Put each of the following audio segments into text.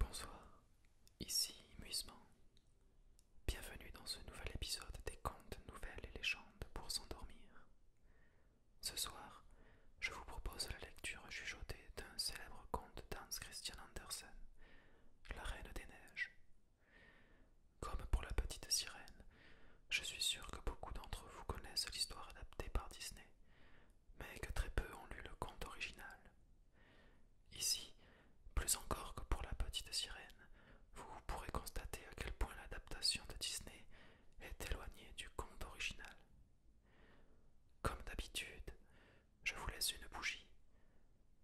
Bonsoir, ici Muisement. Bienvenue dans ce nouvel épisode des contes, nouvelles et légendes pour s'endormir. Ce soir, je vous propose la lecture chuchotée d'un célèbre conte d'Hans Christian Andersen, La Reine des Neiges. Comme pour la petite sirène, je suis sûr que beaucoup d'entre vous connaissent l'histoire adaptée par Disney, mais que très peu ont lu le conte original, Ici, plus encore que pour la petite sirène, vous pourrez constater à quel point l'adaptation de Disney est éloignée du conte original. Comme d'habitude, je vous laisse une bougie.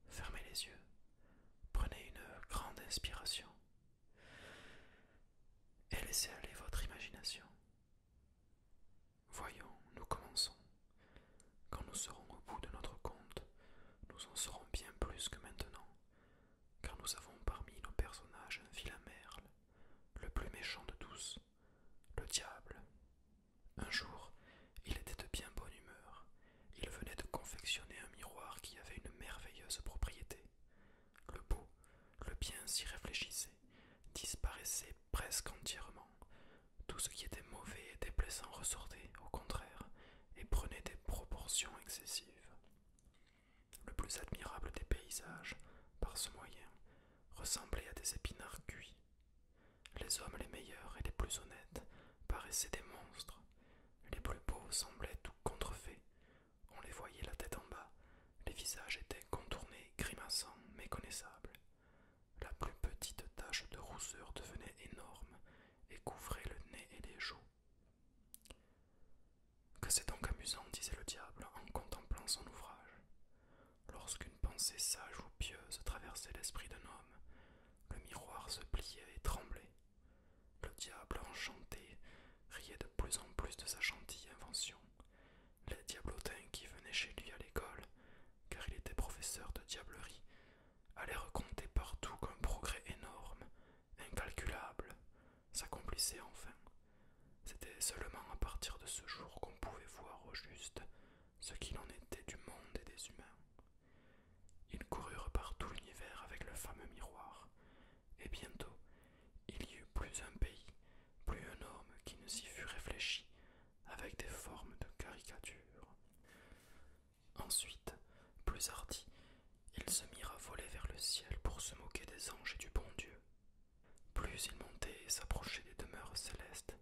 Fermez les yeux, prenez une grande inspiration et laissez aller votre imagination. Voyons, nous commençons. Quand nous serons au bout de notre compte, nous en serons bien plus que maintenant, car nous avons parmi nos personnages un vilain merle, le plus méchant de tous, le diable. Un jour, il était de bien bonne humeur. Il venait de confectionner un miroir qui avait une merveilleuse propriété. Le beau, le bien s'y réfléchissait, disparaissait presque entièrement. Tout ce qui était mauvais et déplaisant ressortait, au contraire, et prenait des proportions excessives. Le plus admirable des paysages, par ce moyen, ressemblait à des épinards cuits. Les hommes les meilleurs et les plus honnêtes paraissaient des monstres. Les plus beaux semblaient tout contrefaits. On les voyait la tête en bas. Les visages étaient contournés, grimaçants, méconnaissables. La plus petite tache de rousseur devenait énorme et couvrait le nez et les joues. Que c'est donc amusant, disait le diable en contemplant son ouvrage. Lorsqu'une pensée sage ou pieuse traversait l'esprit d'un homme, le miroir se pliait et tremblait. Le diable, enchanté, riait de plus en plus de sa gentille invention. Les diablotins qui venaient chez lui à l'école car il était professeur de diablerie, allait raconter partout qu'un progrès énorme, incalculable, s'accomplissait enfin. C'était seulement à partir de ce jour qu'on pouvait voir au juste ce qu'il en était du monde et des humains. Ils coururent par tout l'univers avec le fameux miroir, et bientôt il y eut plus un pays, plus un homme qui ne s'y fût réfléchi avec des formes de caricature. Ensuite, plus hardi, ils se mirent à voler vers le ciel pour se moquer des anges et du bon Dieu. Plus ils montaient et s'approchaient des demeures célestes,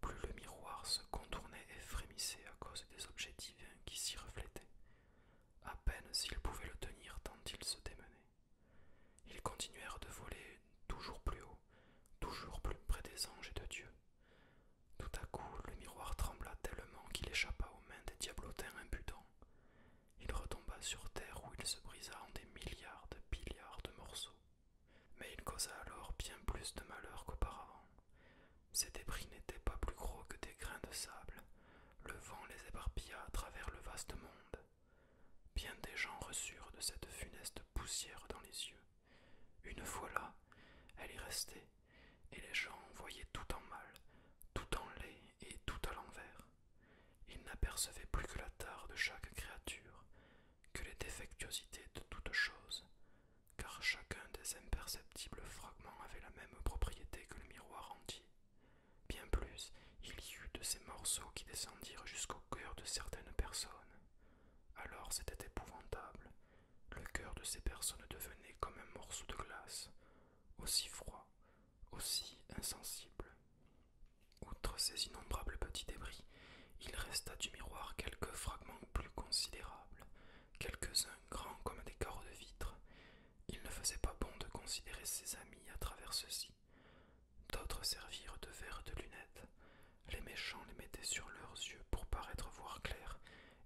plus le miroir se contournait et frémissait à cause des objets divins qui s'y reflétaient. À peine s'ils pouvaient le tenir tant ils se démenaient. Ils continuèrent de voler toujours plus haut, toujours plus près des anges et de Dieu. Tout à coup, le miroir trembla tellement qu'il échappa aux mains des diablotins impudents. Il retomba sur terre où il se brisa en des milliards de milliards de morceaux. Mais il causa alors bien plus de malheur qu'auparavant. Ces débris n'étaient pas plus gros que des grains de sable. Le vent les éparpilla à travers le vaste monde. Bien des gens reçurent de cette funeste poussière dans les yeux. Une fois là, elle y restait, et les gens voyaient tout en mal, tout en lait et tout à l'envers. Ils n'apercevaient plus que la tare de chaque créature, que les défectuosités de toute chose car chacun des imperceptibles fragments avait la même propriété que le miroir entier. Bien plus, il y eut de ces morceaux qui descendirent jusqu'au cœur de certaines personnes, alors c'était épouvantable. Le cœur de ces personnes devenait comme un morceau de glace, aussi froid, aussi insensible. Outre ces innombrables petits débris, il resta du miroir quelques fragments plus considérables, quelques-uns grands comme des carreaux de vitre. Il ne faisait pas bon de considérer ses amis à travers ceux-ci. D'autres servirent de verres de lunettes, les méchants les mettaient sur leurs yeux pour paraître voir clair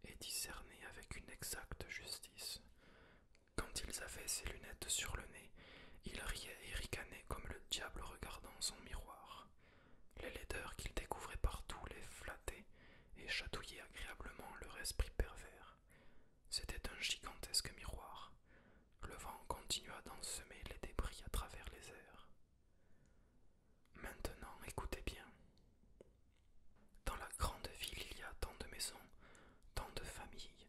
et discerner avec une exacte justice. Quand ils avaient ces lunettes sur le nez, ils riaient et ricanaient comme le diable regardant son miroir. Les laideurs qu'ils découvraient partout les flattaient et chatouillaient agréablement leur esprit pervers. C'était un gigantesque miroir. Le vent continua d'ensemer les débris à travers les airs. Maintenant, écoutez bien. Dans la grande ville, il y a tant de maisons, tant de familles,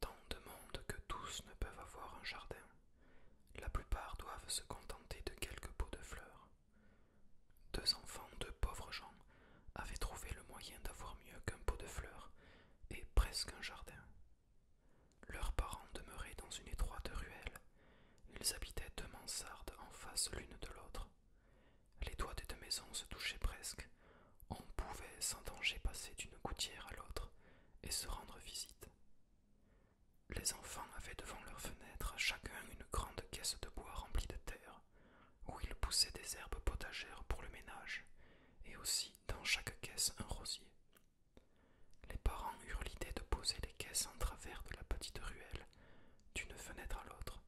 tant de monde que tous ne peuvent avoir un jardin. La plupart doivent se contenter de quelques pots de fleurs. Deux enfants, deux pauvres gens, avaient trouvé le moyen d'avoir mieux qu'un pot de fleurs et presque un jardin. Leurs parents demeuraient dans une étroite ruelle. Ils habitaient deux mansardes en face l'une de l'autre. Les toits des deux maisons se touchaient presque. On pouvait sans danger passer d'une gouttière à l'autre et se rendre visite. Les enfants avaient devant leurs fenêtres chacun une grande caisse de bois remplie de terre, où ils poussaient des herbes potagères pour le ménage, et aussi dans chaque caisse un rosier. Les parents eurent l'idée de poser les caisses en travers de la petite ruelle, d'une fenêtre à l'autre.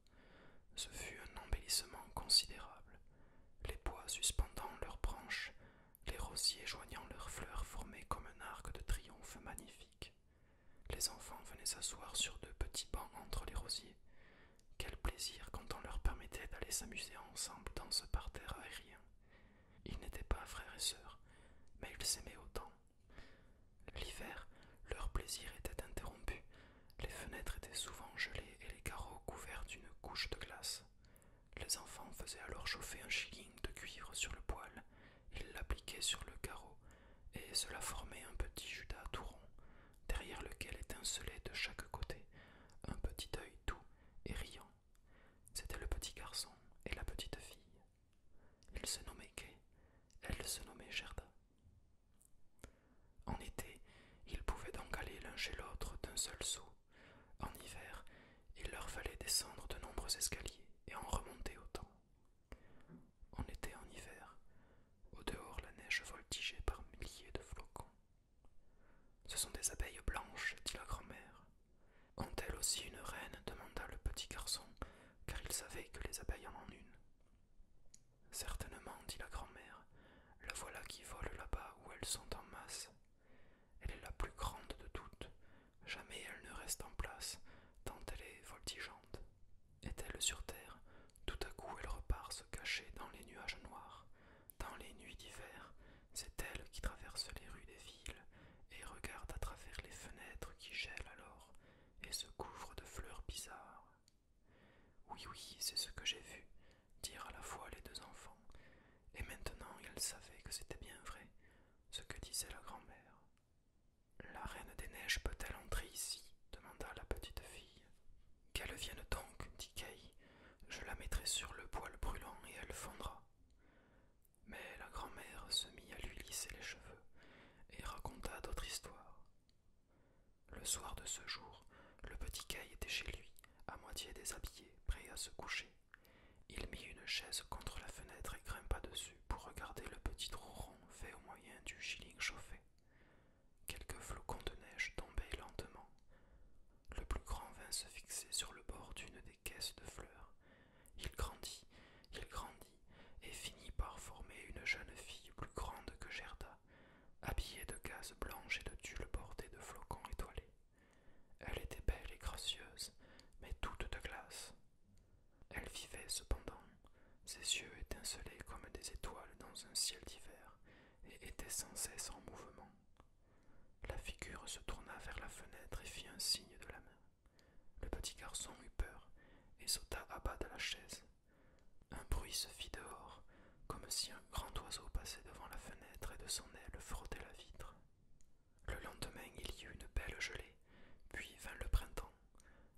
Ce fut un embellissement considérable, les bois suspendant leurs branches, les rosiers joignant leurs fleurs formaient comme un arc de triomphe magnifique. Les enfants venaient s'asseoir sur deux petits bancs entre les rosiers. Quel plaisir quand on leur permettait d'aller s'amuser ensemble dans ce parterre aérien. Ils n'étaient pas frères et sœurs, mais ils s'aimaient autant L'hiver, leur plaisir était interrompu, les fenêtres étaient souvent gelées et les carreaux couverts d'une couche de glace. Les enfants faisaient alors chauffer un shilling de cuivre sur le poêle, ils l'appliquaient sur le carreau, et cela formait un petit judas tout rond, derrière lequel étincelait de chaque côté un petit œil doux et riant. C'était le petit garçon et la petite fille. Il se nommait Gay, elle se nommait Gerda. En été, ils pouvaient donc aller l'un chez l'autre d'un seul saut. En hiver, il leur fallait descendre de nombreux escaliers et en remonter autant. en été en hiver. Au dehors, la neige voltigeait par milliers de flocons. Ce sont des abeilles blanches, dit la grand-mère. Ont-elles aussi une reine demanda le petit garçon, car il savait que les abeilles en ont une. Certainement, dit la grand-mère, la voilà qui vole là-bas où elles sont en masse. Elle est la plus grande de toutes, jamais elle ne reste en place, tant elle est voltigeante. Est-elle sur terre Tout à coup elle repart se cacher dans les nuages noirs. Dans les nuits d'hiver, c'est elle qui traverse les rues des villes, et regarde à travers les fenêtres qui gèlent alors et se couvrent de fleurs bizarres. Oui, oui, c'est ce que j'ai vu, dirent à la fois les deux enfants, et maintenant ils savaient que c'était bien vrai, ce que disait la grand-mère. La reine des neiges peut-elle entrer ici demanda la petite fille. Qu'elle vienne donc, dit Kay. Je la mettrai sur le poêle brûlant et elle fondra. Mais la grand-mère se mit à lui lisser les cheveux et raconta d'autres histoires. Le soir de ce jour, le petit Caille était chez lui, à moitié déshabillé, prêt à se coucher. Il mit une chaise contre la fenêtre et grimpa dessus pour regarder le petit trou rond fait au moyen du shilling chauffé. Quelques flocons de neige tombaient lentement. Le plus grand vint se fixer sur le bord d'une des caisses de fleurs. Il grandit, il grandit et finit par former une jeune fille plus grande que Gerda, habillée de gaze blanches et de tulle bordée de flocons étoilés. Elle était belle et gracieuse, mais toute de glace. Elle vivait cependant, ses yeux étincelaient comme des étoiles dans un ciel d'hiver, et étaient sans cesse en mouvement. La figure se tourna vers la fenêtre et fit un signe de la main. Le petit garçon eut peur et sauta à bas de la chaise. Un bruit se fit dehors, comme si un grand oiseau passait devant la fenêtre et de son aile frottait la vitre. Le lendemain, il y eut une belle gelée, puis vint le printemps.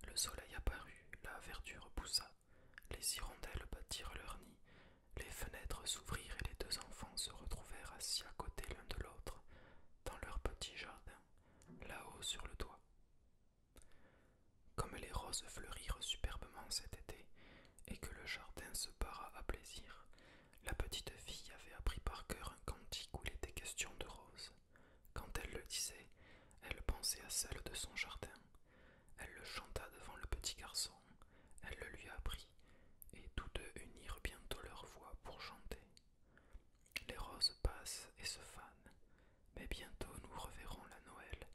Le soleil apparut, la verdure poussa, les hirondelles bâtirent leur nid, les fenêtres s'ouvrirent et les deux enfants se retrouvèrent assis à côté l'un de l'autre, dans leur petit jardin là-haut sur le toit. Comme les roses fleurirent superbement cet été et que le jardin se para à plaisir, la petite fille avait appris par cœur un cantique où il était question de roses. Quand elle le disait, elle pensait à celle de son jardin. Elle le chanta devant le petit garçon, elle le lui apprit, et tous deux unirent bientôt leurs voix pour chanter. Les roses passent et se fanent, mais bientôt nous reverrons la Noël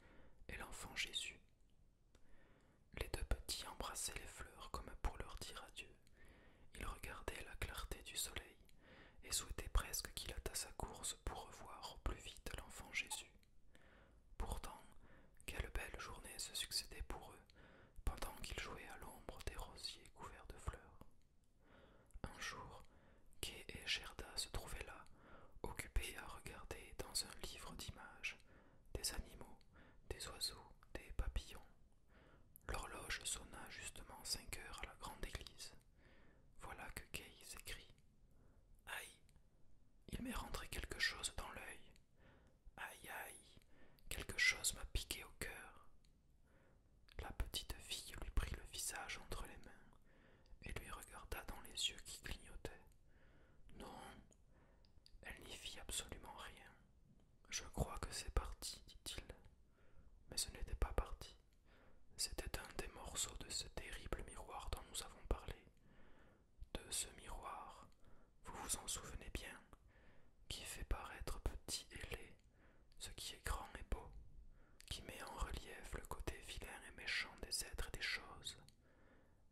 et l'enfant Jésus. Les deux petits embrassaient les fleurs comme pour leur dire adieu. Ils regardaient la clarté du soleil et souhaitaient presque qu'il attasse sa course pour revoir au plus vite l'enfant Jésus. Pourtant, quelle belle journée se succédait pour eux pendant qu'ils jouaient à l'ombre des rosiers couverts de fleurs. Un jour, Kay et Gerda se trouvaient là, occupés à regarder dans un livre d'images des animaux, des oiseaux, des papillons. L'horloge sonna justement cinq heures à la grande église. Voilà que Kay s'écrit. « Aïe Il m'est rentré quelque chose dans l'œil. Aïe aïe Quelque chose m'a piqué au cœur. La petite fille lui prit le visage entre les mains et lui regarda dans les yeux qui clignotaient. Non, elle n'y fit absolument rien. Je crois que c'est parti, dit-il. Mais ce n'était pas parti. C'était un des morceaux de ce terrible miroir dont nous avons parlé. De ce miroir, vous vous en souvenez bien, qui fait paraître petit et laid ce qui est grand et beau, qui met en relief le côté vilain et méchant des êtres et des choses,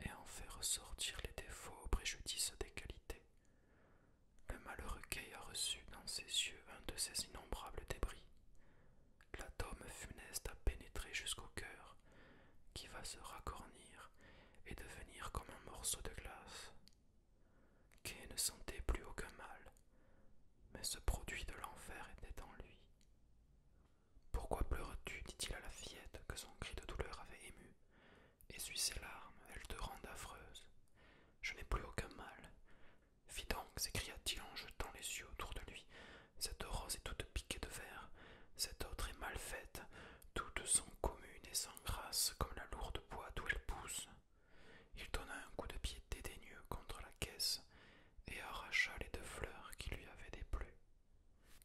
et en fait ressortir les défauts au préjudice des qualités. Le malheureux Kay a reçu dans ses yeux un de ces innombrables débris. L'atome funeste a pénétré jusqu'au cœur, qui va se racornir et devenir comme un morceau de glace. Kay ne sentait plus aucun mal, mais ce produit de l'enfer était en lui. Pourquoi pleures-tu dit-il à la fillette que son cri de douleur avait ému Essuie ses larmes, elles te rendent affreuse. Je n'ai plus aucun mal. Fis donc, s'écria-t-il en jetant les yeux autour de lui. Cette rose est toute piquée de verre, cette autre est mal faite, toutes sont communes et sans grâce comme la lourde boîte où elle pousse. Il donna un coup de pied dédaigneux contre la caisse et arracha les deux fleurs qui lui avaient déplu.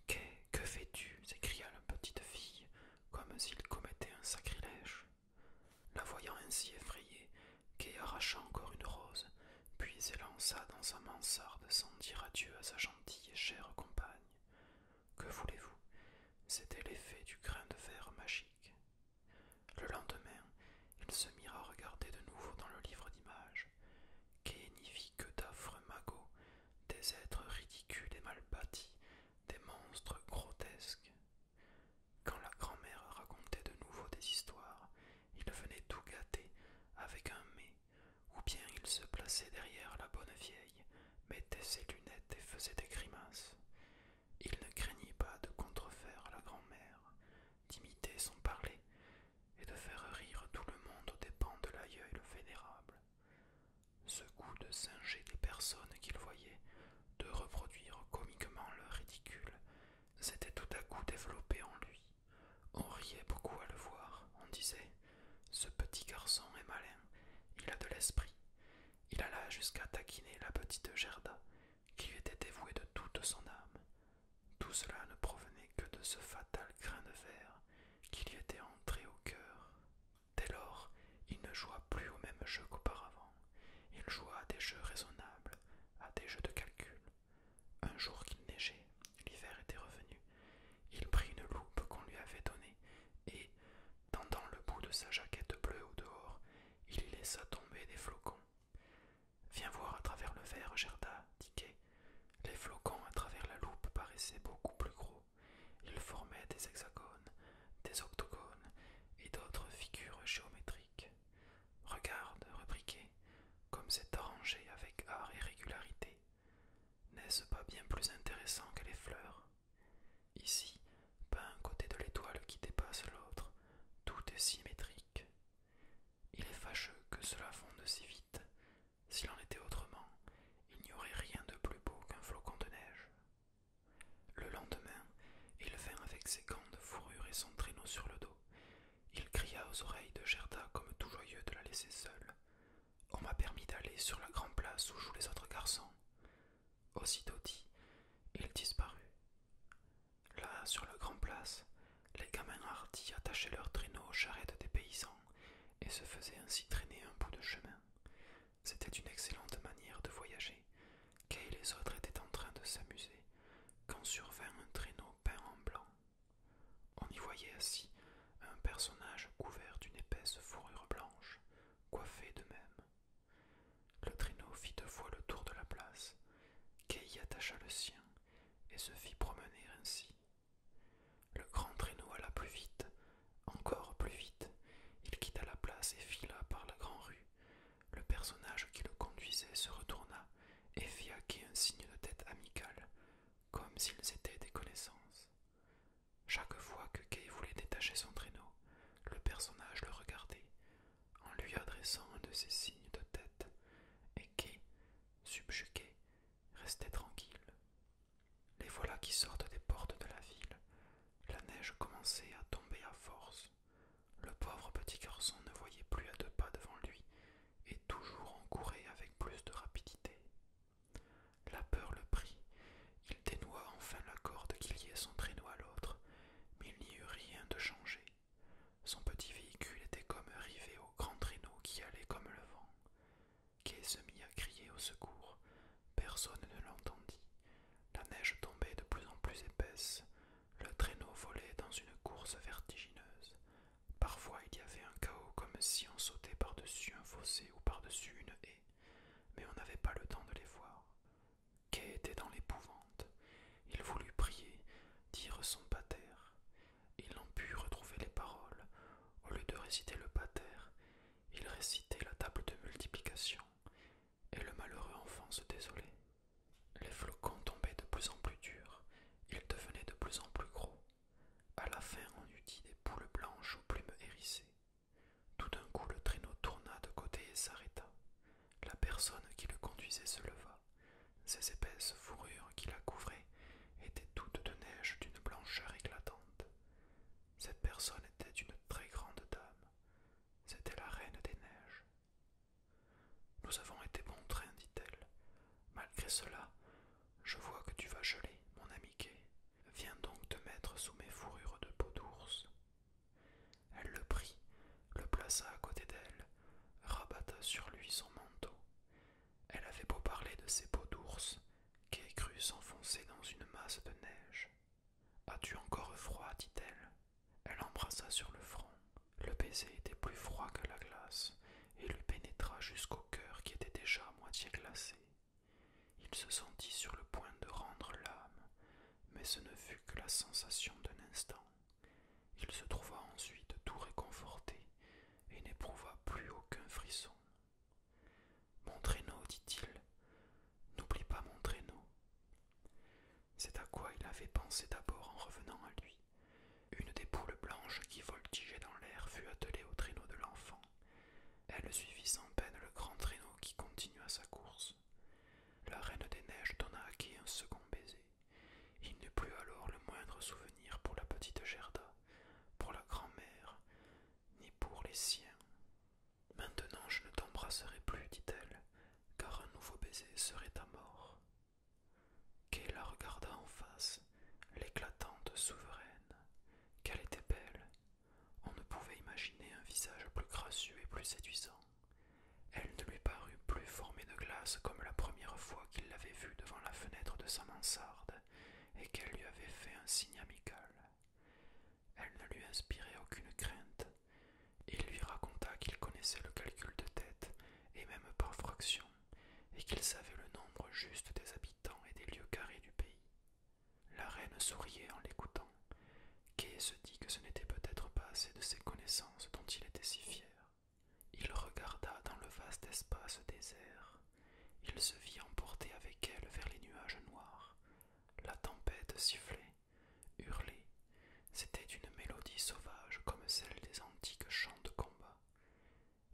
quai que fais-tu s'écria la petite fille, comme s'il commettait un sacrilège. La voyant ainsi effrayée, quai arracha encore une rose, puis s'élança dans sa mansarde sans dire adieu à sa gentille et chère compagne. Que voulez-vous C'était l'effet du grain de fer magique. Le lendemain, il se mit à regarder de nouveau dans le livre d'images. Kay n'y vit que d'affreux magots, des êtres ridicules et mal bâtis, des monstres grotesques. Quand la grand-mère racontait de nouveau des histoires, il venait tout gâter avec un mais, ou bien il se plaçait derrière la bonne vieille, mettait ses lunettes et faisait des grimaces. Il ne craignit pas de contrefaire la grand-mère, d'imiter son parler et de faire rire tout le monde aux dépens de le vénérable. Ce goût de singer des personnes qu'il voyait, de reproduire comiquement leur ridicule, s'était tout à coup développé en lui. On riait beaucoup à le voir, on disait Ce petit garçon est malin, il a de l'esprit. Il alla jusqu'à taquiner la petite Gerda qui lui était dévoué de toute son âme. Tout cela ne provenait que de ce fatal grain de verre qui lui était entré au cœur. Dès lors, il ne joua plus au même jeu qu'auparavant. Il joua à des jeux raisonnables, à des jeux de calcul. Un jour qu'il neigeait, l'hiver était revenu, il prit une loupe qu'on lui avait donnée et, tendant le bout de sa jaquette bleue au dehors, il y laissa tomber des flocons, Viens voir à travers le verre, Gerda, dit Les flocons à travers la loupe paraissaient beaucoup plus gros. Ils formaient des hexagones, des octogones et d'autres figures géométriques. Regarde, reprit comme c'est arrangé avec art et régularité. N'est-ce pas bien plus intéressant que les fleurs Ici, pas un côté de l'étoile qui dépasse l'autre, tout est symétrique. Il est fâcheux que cela fonde si vite. S'il en était autrement, il n'y aurait rien de plus beau qu'un flocon de neige. Le lendemain, il vint avec ses gants de fourrure et son traîneau sur le dos. Il cria aux oreilles de Gerda comme tout joyeux de la laisser seule. On m'a permis d'aller sur la grande place où jouent les autres garçons. Aussitôt dit, il disparut. Là, sur le grand place, les gamins hardis attachaient leurs traîneaux aux charrettes des paysans et se faisaient ainsi traîner un bout de chemin. C'était une excellente manière de voyager. Kay et les autres étaient en train de s'amuser quand survint un traîneau peint en blanc. On y voyait assis un personnage couvert d'une épaisse fourrure blanche, coiffé de même. Le traîneau fit deux fois le tour de la place. Kay y attacha le sien et se fit promener ainsi. Le grand traîneau alla plus vite, encore plus vite. Il quitta la place et fila par la grande-rue. Le personnage qui le conduisait se retourna et fit à Kay un signe de tête amical, comme s'ils étaient des connaissances. Chaque fois que Kay voulait détacher son traîneau, le personnage le regardait, en lui adressant un de ses signes de tête, et qui, subjugué, restait tranquille. Les voilà qui sortent des portes de la ville. La neige commençait à tomber à force. Le pauvre petit garçon ne voyait plus à deux pas devant lui, et toujours en courait avec plus de rapidité. La peur le prit. Il dénoua enfin la corde qui liait son traîneau à l'autre, mais il n'y eut rien de changé. Son petit véhicule était comme rivé au grand traîneau qui allait comme le vent. Kay se mit à crier au secours. Personne ne l'entendit. La neige tombait de plus en plus épaisse. Le traîneau volait dans une course vertigineuse. Parfois il y avait un chaos comme si on sautait par-dessus un fossé ou par-dessus une haie, mais on n'avait pas le temps de les voir était dans l'épouvante. Il voulut prier, dire son pater. Il n'en put retrouver les paroles. Au lieu de réciter le pater, il récitait la table de multiplication, et le malheureux enfant se désolait. Les flocons tombaient de plus en plus durs, ils devenaient de plus en plus gros. À la fin, on eût dit des poules blanches aux plumes hérissées. Tout d'un coup, le traîneau tourna de côté et s'arrêta. La personne qui le conduisait se leva. Ses épaisses fourrures qui la couvraient étaient toutes de neige d'une blancheur éclatante. Cette personne était une très grande dame. C'était la reine des neiges. Nous avons été bon train, dit-elle. Malgré cela, je vois que tu vas geler, mon ami Viens donc te mettre sous mes fourrures de peau d'ours. Elle le prit, le plaça à côté d'elle, rabatta sur lui son manteau. Elle avait beau parler de ses peaux d'ours, qu'elle crut s'enfoncer dans une masse de neige. As-tu encore froid dit-elle. Elle l'embrassa sur le front. Le baiser était plus froid que la glace et lui pénétra jusqu'au cœur qui était déjà à moitié glacé. Il se sentit sur le point de rendre l'âme, mais ce ne fut que la sensation d'un instant. Il se trouva ensuite tout réconforté et n'éprouva plus aucun frisson. Mon traîneau, dit-il, n'oublie pas mon traîneau. C'est à quoi il avait pensé d'abord en revenant à lui. Une des poules blanches qui voltigeait dans l'air fut attelée au traîneau de l'enfant. Elle suivit sans peine le grand traîneau qui continua sa course. La reine des neiges donna à qui un second baiser. Il n'eut plus alors le moindre souvenir pour la petite Gerda, pour la grand-mère, ni pour les siens. Maintenant je ne t'embrasserai plus, dit-elle, car un nouveau baiser serait à mort. qu'elle regarda en face, l'éclatante souveraine. Qu'elle était belle. On ne pouvait imaginer un visage plus gracieux et plus séduisant. Elle ne lui parut plus formée de glace comme la première fois qu'il l'avait vue devant la fenêtre de sa mansarde et qu'elle lui avait fait un signe amical. Elle ne lui inspirait aucune crainte. Il lui raconta qu'il connaissait le calcul de tête, et même par fraction, et qu'il savait le nombre juste des habitants et des lieux carrés du pays. La reine souriait en l'écoutant. Kay se dit que ce n'était peut-être pas assez de ses connaissances dont il était si fier. Il regarda dans le vaste espace désert. Il se vit emporter avec elle vers les nuages noirs. La tempête sifflait, hurlait. C'était une mélodie sauvage comme celle des antiques chants de combat.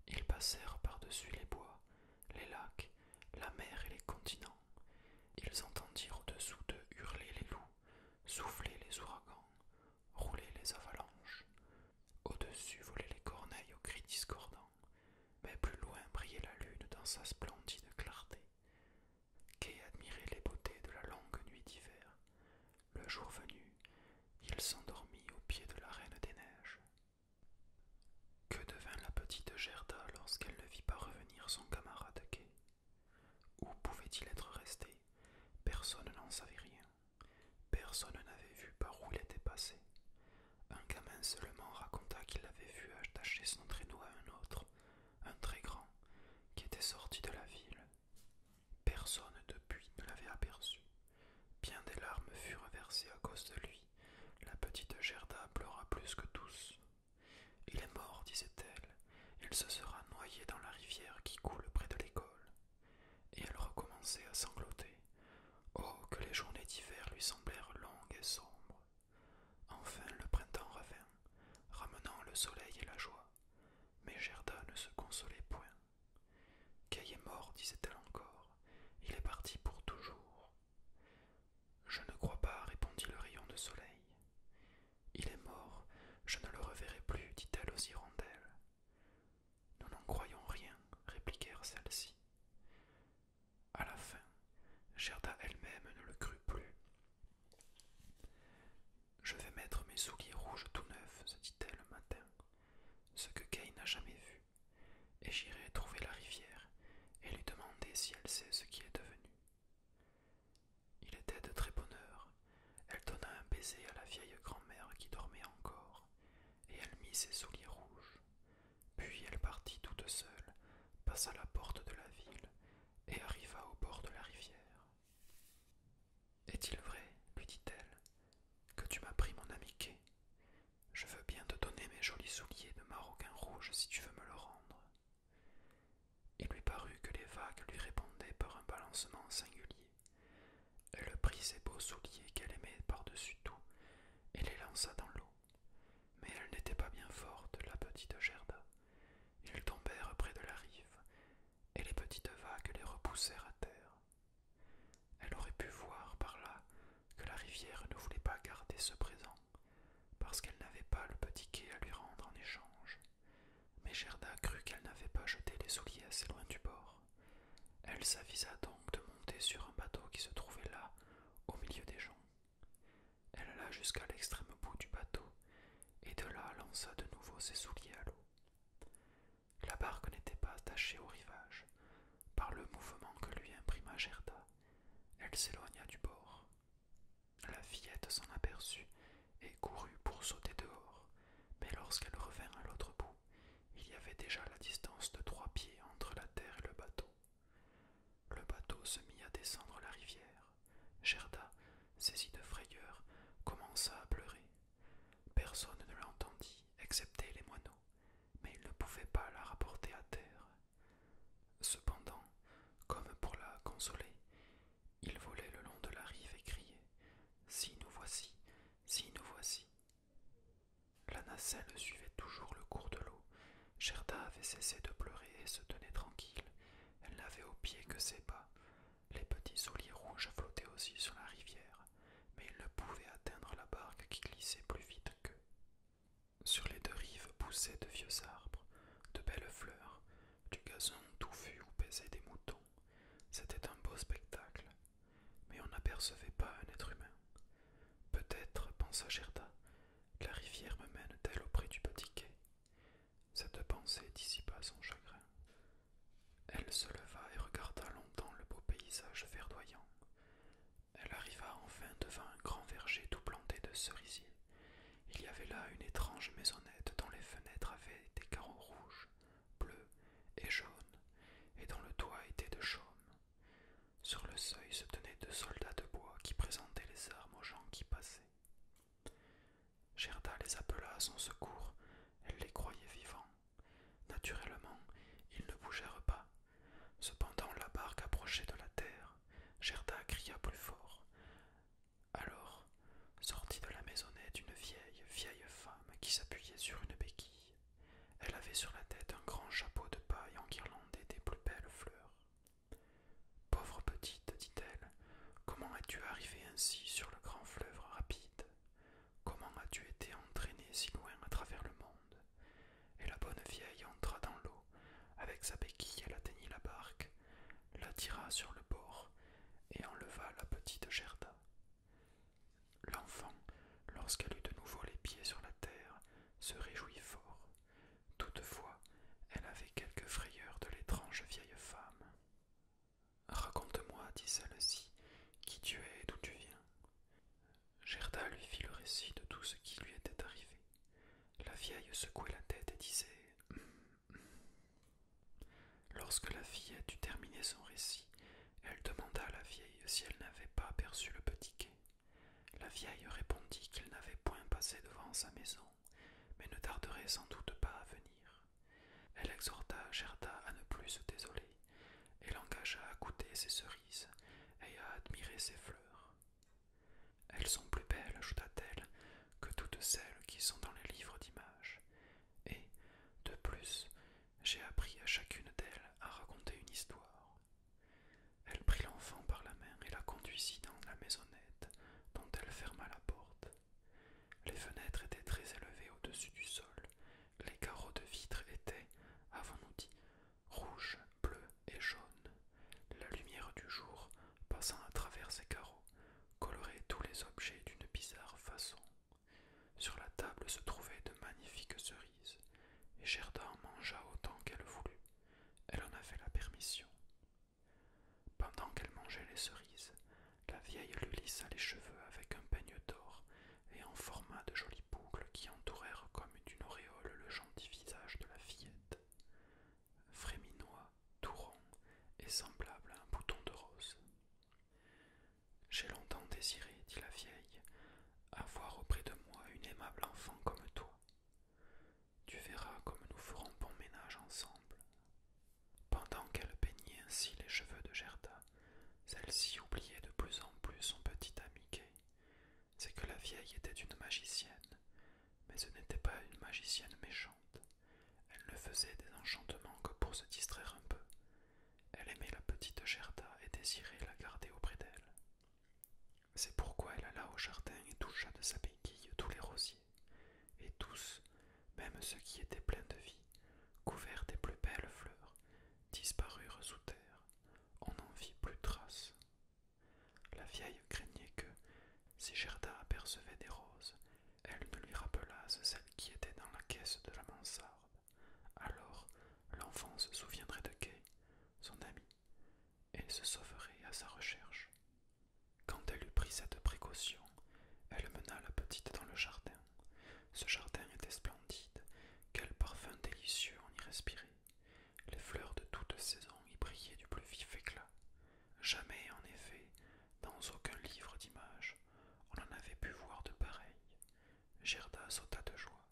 Ils passèrent par-dessus les bois, les lacs, la mer et les continents. Ils entendirent au-dessous d'eux hurler les loups, souffler les ouragans, roulaient les avalanches. Au-dessus volaient les corneilles aux cris discordants, mais plus loin brillait la lune dans sa splendide clarté. Quai admirait les beautés de la longue nuit d'hiver. Le jour venu, il s'endormit au pied de la Reine des Neiges. Que devint la petite Gerda lorsqu'elle ne vit pas revenir son camarade Quai où pouvait-il être resté Personne n'en savait rien. Personne n'avait vu par où il était passé. Un gamin seulement raconta qu'il l'avait vu attacher son traîneau à un autre, un très grand, qui était sorti de la ville. Personne depuis ne l'avait aperçu. Bien des larmes furent versées à cause de lui. La petite Gerda pleura plus que tous. Il est mort, disait-elle il se sera noyé dans la rivière qui coule près de l'école. Et elle recommençait à sangloter. Oh, que les journées d'hiver lui semblèrent longues et sombres. Enfin le printemps revint, ramenant le soleil et la joie. Mais Gerda ne se consolait point. Kay est mort, disait-elle encore. Il est parti pour toujours. Je ne crois pas, répondit le rayon de soleil. Il est mort, je ne le reverrai plus, dit-elle aux hirondelles. Nous n'en croyons rien, répliquèrent celles-ci. À la fin, Gerda elle-même ne le crut plus. Je vais mettre mes souliers rouges tout neufs, se dit-elle le matin, ce que Kay n'a jamais vu, et j'irai trouver la rivière et lui demander si elle sait ce qui est devenu. Il était de très bonne heure. Elle donna un baiser à la vieille grand-mère qui dormait encore, et elle mit ses souliers rouges. Puis elle partit toute seule, passa la porte de la ville, et arriva au bord de la rivière. Est-il vrai, lui dit-elle, que tu m'as pris mon amiqué Je veux bien te donner mes jolis souliers de maroquin rouge si tu veux me le rendre. Il lui parut que les vagues lui répondaient par un balancement singulier. Elle prit ses beaux souliers qu'elle aimait par-dessus tout et les lança dans l'eau. Mais elle n'était pas bien forte, la petite Gerda. Ils tombèrent près de la rive, et les petites vagues les repoussèrent à terre. Elle aurait pu voir par là que la rivière ne voulait pas garder ce présent, parce qu'elle n'avait pas le petit quai à lui rendre en échange. Mais Gerda crut qu'elle n'avait pas jeté les souliers assez loin du bord. Elle s'avisa donc de monter sur un bateau qui se trouvait là, au milieu des gens. Elle alla jusqu'à l'extrême bout du bateau, et de là lança de nouveau ses souliers à l'eau. La barque n'était pas attachée au rivage. Par le mouvement que lui imprima Gerda, elle s'éloigna du bord. La fillette s'en aperçut et courut pour sauter dehors, mais lorsqu'elle revint à l'autre bout, il y avait déjà la distance de trois pieds entre la terre et le bateau. Le bateau se mit à descendre la rivière. Gerda, saisie de frayeur, commença à pleurer. Personne ne l'entendit, excepté les moineaux, mais ils ne pouvaient pas la rapporter à terre. Cependant, comme pour la consoler, il volait le long de la rive et criait Si nous voici, si nous voici. La nacelle suivait toujours le cours de l'eau. Gerda avait cessé de pleurer et se tenait tranquille. Elle n'avait aux pieds que ses pas. Les petits souliers rouges flottaient aussi sur la rivière, mais ils ne pouvaient atteindre la barque qui glissait plus vite qu'eux. Sur les deux rives poussaient de vieux arbres, de belles fleurs, du gazon touffu où baisaient des moutons. C'était un beau spectacle, mais on n'apercevait pas un être humain. Peut-être, pensa Gerda, la rivière me mène-t-elle auprès du petit quai Cette pensée dissipa son chagrin. Elle se leva et regarda longtemps le beau paysage verdoyant. Elle arriva enfin devant un grand verger tout planté de cerisiers. Il y avait là une étrange maisonnette dont les fenêtres avaient des carreaux rouges, bleu et jaune, et dont le toit était de chaume. Sur le seuil se tenaient deux soldats de bois qui présentaient les armes aux gens qui passaient. Gerda les appela à son secours, elle les croyait vivants. Naturellement, ils ne bougèrent pas. Cependant, la barque approchait de la terre. Gerda cria plus fort. Alors sortit de la maisonnette une vieille, vieille femme qui s'appuyait sur une béquille. Elle avait sur la tête un grand chapeau de paille enguirlandé des plus belles fleurs. Pauvre petite, dit-elle, comment as tu arrivé ainsi sur le grand fleuve rapide Comment as-tu été entraînée si loin à travers le monde Et la bonne vieille entra dans l'eau. Avec sa béquille, elle atteignit la barque, la tira sur le bord et enleva la petite Gerda. L'enfant, lorsqu'elle eut de nouveau les pieds sur la terre, se réjouit fort. Toutefois, elle avait quelque frayeur de l'étrange vieille femme. Raconte-moi, dit celle-ci, qui tu es et d'où tu viens. Gerda lui fit le récit de tout ce qui lui était arrivé. La vieille secouait la tête et disait Lorsque la fillette eut terminé son récit, elle demanda à la vieille si elle n'avait pas aperçu le petit quai. La vieille répondit qu'il n'avait point passé devant sa maison, mais ne tarderait sans doute pas à venir. Elle exhorta Gerda à ne plus se désoler, et l'engagea à goûter ses cerises et à admirer ses fleurs. Elles sont plus belles, ajouta-t-elle, que toutes celles qui sont dans les livres d'images, et, de plus, j'ai appris à chacune d'elles à raconter une histoire. Elle prit l'enfant par la main et la conduisit dans la maisonnette, dont elle ferma la porte. Les fenêtres étaient très élevées au-dessus du sol, les carreaux de vitre étaient, avons-nous dit, rouges, bleus et jaunes. La lumière du jour, passant à travers ces carreaux, colorait tous les objets d'une bizarre façon. Sur la table se trouvaient de magnifiques cerises, et Gerda en mangea autant qu'elle voulut. Elle en avait la permission. Pendant qu'elle mangeait les cerises, la vieille lui lissa les cheveux avec un peigne d'or et en forma de jolies boucles qui entourèrent comme d'une auréole le gentil visage de la fillette. Fréminois, tout rond et semblable à un bouton de rose. J'ai longtemps désiré, dit la vieille, avoir auprès de moi une aimable enfant comme toi. Tu verras comme nous ferons bon ménage ensemble. Pendant qu'elle peignait ainsi les cheveux de Gerda, celle-ci oubliait de plus en plus son petit ami C'est que la vieille était une magicienne, mais ce n'était pas une magicienne méchante. Elle ne faisait des enchantements que pour se distraire un peu. Elle aimait la petite Gerda et désirait la garder auprès d'elle. C'est pourquoi elle alla au jardin et toucha de sa béquille tous les rosiers, et tous, même ceux qui étaient pleins de vie, couverts des plus belles fleurs, disparurent sous terre. On n'en vit plus trace. La vieille craignait que, si Gerda apercevait des roses, elle ne lui rappela celle qui était dans la caisse de la mansarde. Alors l'enfant se souviendrait de Kay, son ami, et se sauverait à sa recherche. Quand elle eut pris cette précaution, elle mena la petite dans le jardin. Ce jardin était splendide, quel parfum délicieux on y respirait. Les fleurs de toute saison y brillaient du plus vif éclat. Jamais, en effet, dans aucun livre d'images, on en avait pu voir de pareils. Gerda sauta de joie.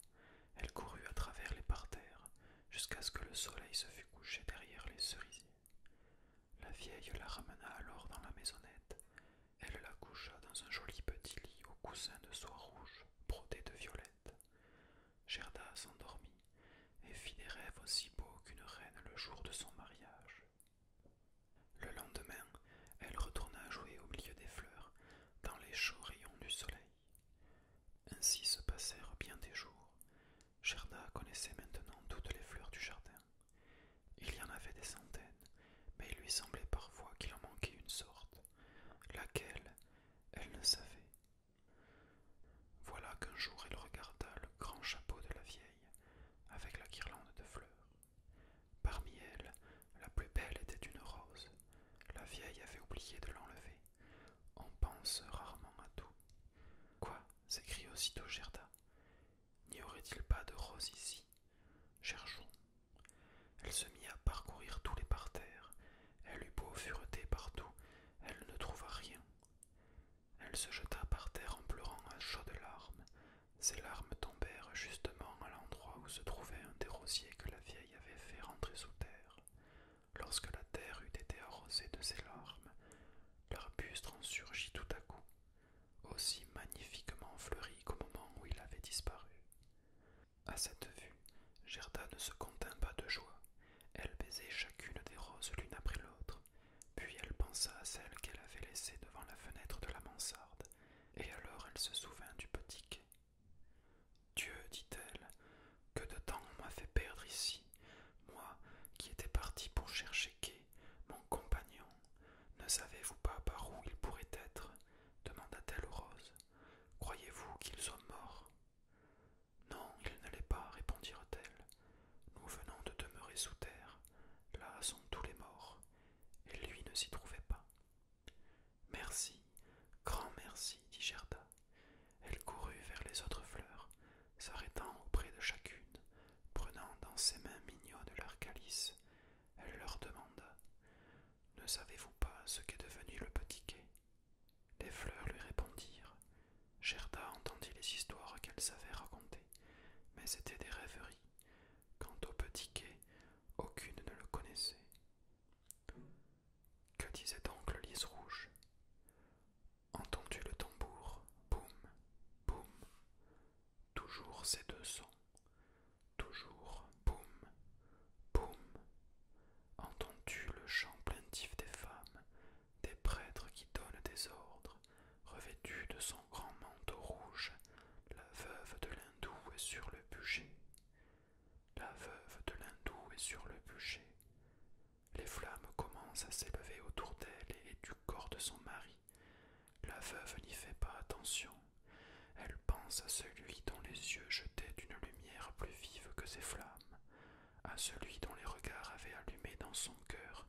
Elle courut à travers les parterres jusqu'à ce que le soleil se fût couché derrière les cerisiers. La vieille la ramena alors dans la maisonnette. Elle la coucha dans un joli petit lit au coussin de soie rouge brodé de violettes. Gerda s'endormit et fit des rêves aussi beaux qu'une reine le jour de son mariage. Le lendemain, elle retourna jouer au milieu des fleurs, dans les chauds rayons du soleil. Ainsi se passèrent bien des jours. Gerda connaissait maintenant toutes les fleurs du jardin. Il y en avait des centaines, mais il lui semblait parfois qu'il en manquait une sorte, laquelle elle ne savait. Voilà qu'un jour elle regarda le grand chapeau de la vieille, avec la guirlande de fleurs. Parmi elles, la plus belle était une rose. La vieille avait oublié de l'enlever. On pense rarement à tout. Quoi s'écria aussitôt Gerda. N'y aurait-il pas de rose ici Cherchons. Elle se mit à parcourir tous les parterres. Elle eut beau fureter partout, elle ne trouva rien. Elle se jeta par terre en pleurant à de larmes. Ses larmes tombèrent justement à l'endroit où se trouvait un des rosiers que la vieille avait fait rentrer sous terre. Lorsque la terre eut été arrosée de ses larmes, l'arbuste en surgit tout à coup, aussi magnifiquement fleuri qu'au moment où il avait disparu. À cette vue, Gerda ne se contint pas de joie. Elle baisait chacune des roses l'une après l'autre, puis elle pensa à celle qu'elle avait laissée devant la fenêtre de la mansarde, et alors elle se souvint du petit quai. Dieu, dit-elle, que de temps on m'a fait perdre ici, moi qui étais parti pour chercher quai, mon compagnon. Ne savez-vous pas par où ils pourraient être demanda-t-elle aux roses. Croyez-vous qu'ils sont morts Non, ils ne pas, répondirent-elles. Nous venons de demeurer sous terre. Là sont tous les morts et lui ne s'y trouvait pas. Merci, grand merci, dit Gerda. Elle courut vers les autres fleurs, s'arrêtant auprès de chacune, prenant dans ses mains mignonnes leur calice. Elle leur demanda Ne savez-vous pas ce qu'est devenu le petit quai Les fleurs lui répondirent. Gerda entendit les histoires qu'elles savait raconter, mais c'étaient des rêveries. Quant au petit quai, aucune ne le connaissait. Que disait donc Lise lys rouge tu le tambour, boum, boum, toujours ces deux sons, toujours boum, boum. Entends-tu le chant plaintif des femmes, des prêtres qui donnent des ordres, revêtus de son grand manteau rouge, la veuve de l'hindou est sur le bûcher. La veuve de l'hindou est sur le bûcher. Les flammes commencent à s'élever autour d'elle et du corps de son mari. La veuve n'y fait pas attention. Elle pense à celui dont les yeux jetaient une lumière plus vive que ses flammes, à celui dont les regards avaient allumé dans son cœur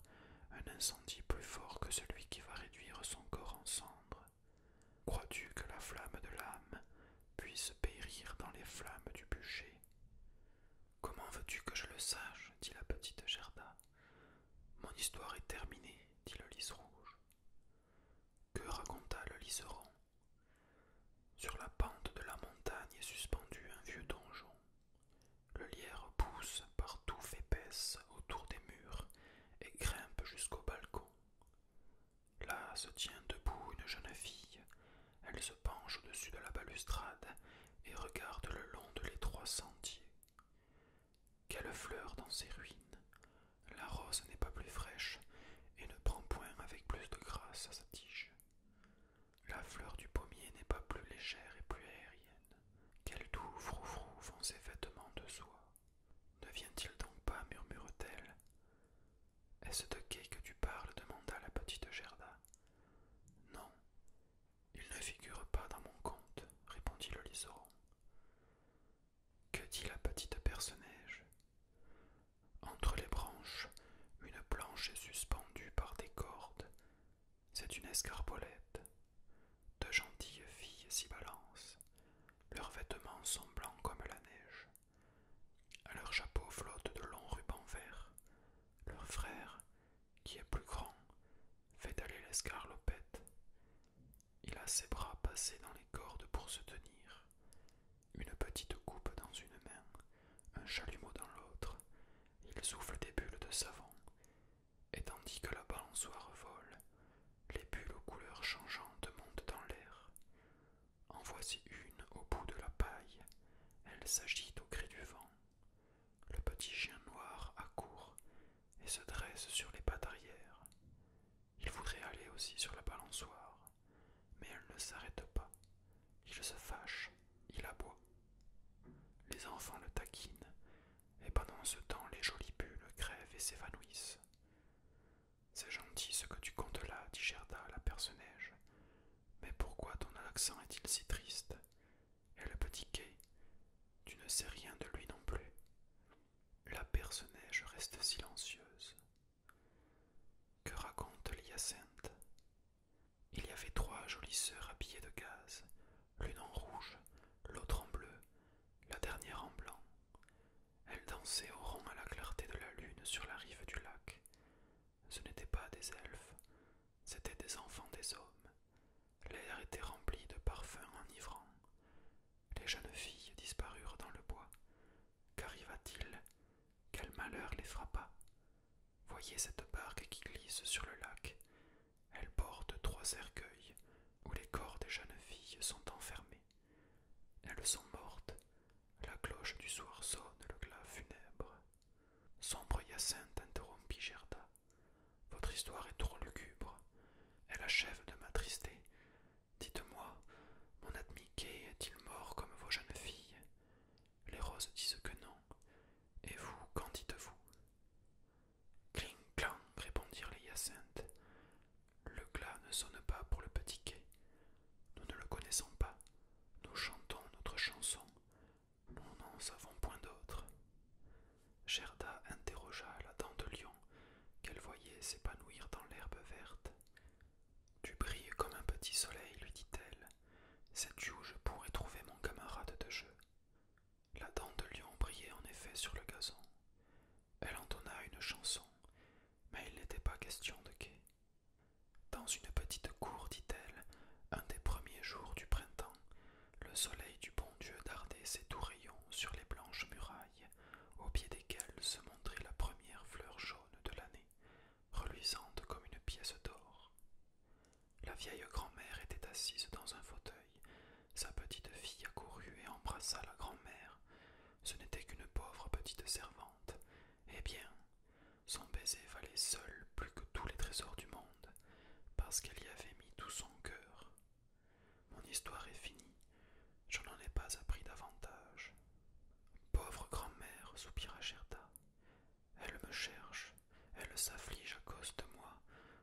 un incendie plus fort que celui qui va réduire son corps en cendres. Crois-tu que la flamme de l'âme puisse périr dans les flammes du bûcher Comment veux-tu que je le sache dit la petite Gerda. Mon histoire est terminée, dit le lys rouge. Que raconta le liseron Sur la pente de la montagne est suspendu un vieux donjon. Le lierre pousse par touffes épaisses autour des murs et grimpe jusqu'au balcon. Là se tient debout une jeune fille. Elle se penche au-dessus de la balustrade et regarde le long de l'étroit sentier. Quelle fleur dans ces ruines La rose n'est pas plus fraîche et ne prend point avec plus de grâce à sa tige. La fleur du pommier n'est pas plus légère et plus aérienne. Quel doux froufrou font ses vêtements de soie. Ne vient-il donc pas murmure-t-elle. Est-ce de quai que tu parles demanda la petite Gerda. Non, il ne figure pas dans mon conte, répondit le liseron. Que dit la petite personnage Entre les branches, une planche est suspendue par des cordes. C'est une escarbolette deux gentilles filles s'y balancent, leurs vêtements sont blancs comme la neige. À leurs chapeaux flottent de longs rubans verts. Leur frère, qui est plus grand, fait aller l'escarlopette. Il a ses bras passés dans les cordes pour se tenir, une petite coupe dans une main, un chalumeau dans l'autre. Il souffle des bulles de savon et tandis que la balançoire vole, les bulles aux couleurs changeantes montent dans l'air. En voici une au bout de la paille, elle s'agite au cri du vent. Le petit chien noir accourt et se dresse sur les pattes arrière. Il voudrait aller aussi sur la balançoire, mais elle ne s'arrête pas. Il se fâche, il aboie. Les enfants le taquinent, et pendant ce temps les jolies bulles crèvent et s'évanouissent. C'est gentil ce que tu comptes là, dit Gerda, à la neige, Mais pourquoi ton accent est-il si triste Et le petit quai Tu ne sais rien de lui non plus. La neige reste silencieuse. Que raconte l'hyacinthe Il y avait trois jolies sœurs habillées de gaze, l'une en rouge, l'autre en bleu, la dernière en blanc. Elle dansait au rond à la clarté de la lune sur la rive du lac. Ce n'étaient pas des elfes, c'étaient des enfants des hommes. L'air était rempli de parfums enivrants. Les jeunes filles disparurent dans le bois. Qu'arriva-t-il Quel malheur les frappa Voyez cette barque qui glisse sur le lac. Elle porte trois cercueils, où les corps des jeunes filles sont enfermés. Elles sont mortes, la cloche du soir sonne le glas funèbre. Sombre Hyacinthe interrompit Gerda. Votre histoire est trop lugubre. Elle achève de m'attrister. Dites-moi, mon ami, est-il mort comme vos jeunes filles Les roses disent que non. Et vous, qu'en dites-vous Cling clang, répondirent les hyacinthes. Le glas ne sonne pas pour le petit quai. Nous ne le connaissons pas. Nous chantons notre chanson. Nous n'en savons point d'autre. Gerda interrogea la dent de lion qu'elle voyait s'épanouir dans l'herbe verte. Tu brilles comme un petit soleil, lui dit-elle. Sais-tu où je pourrais trouver mon camarade de jeu La dent de lion brillait en effet sur le gazon. Elle entonna une chanson, mais il n'était pas question de quai. Dans une petite cour, dit-elle, un des premiers jours du printemps, le soleil du bon Dieu dardait ses doux rayons sur les blanches murailles, au pied desquelles se montrait la première fleur jaune de l'année, reluisante comme une pièce d'or. La vieille grand-mère était assise dans un fauteuil, sa petite fille accourut et embrassa la grand-mère. Ce n'était qu'une pauvre petite servante. Eh bien, son baiser valait seul plus que tous les trésors du monde, parce qu'elle y avait mis tout son cœur. Mon histoire est finie, je n'en ai pas appris davantage. Pauvre grand-mère, soupira Gerda. Elle me cherche, elle s'afflige à cause de moi,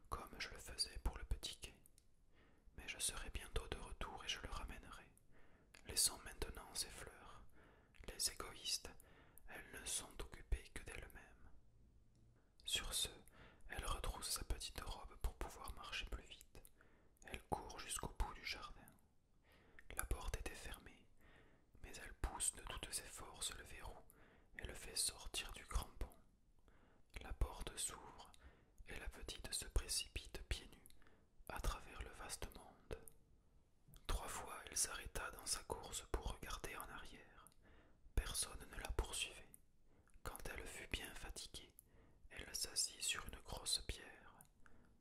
comme je le faisais pour le petit quai. Mais je serai bientôt de retour et je le ramènerai. laissant maintenant ses fleurs. Les égoïstes, elles ne sont occupées que d'elles-mêmes. Sur ce, elle retrousse sa petite robe pour pouvoir marcher plus vite. Elle court jusqu'au bout du jardin. La porte était fermée, mais elle pousse de toutes ses forces le verrou et le fait sortir du crampon. La porte s'ouvre et la petite se précipite pieds nus à travers le vaste monde. Trois fois elle s'arrêta dans sa course pour regarder en arrière. Personne ne la poursuivait. Quand elle fut bien fatiguée, elle s'assit sur une grosse pierre.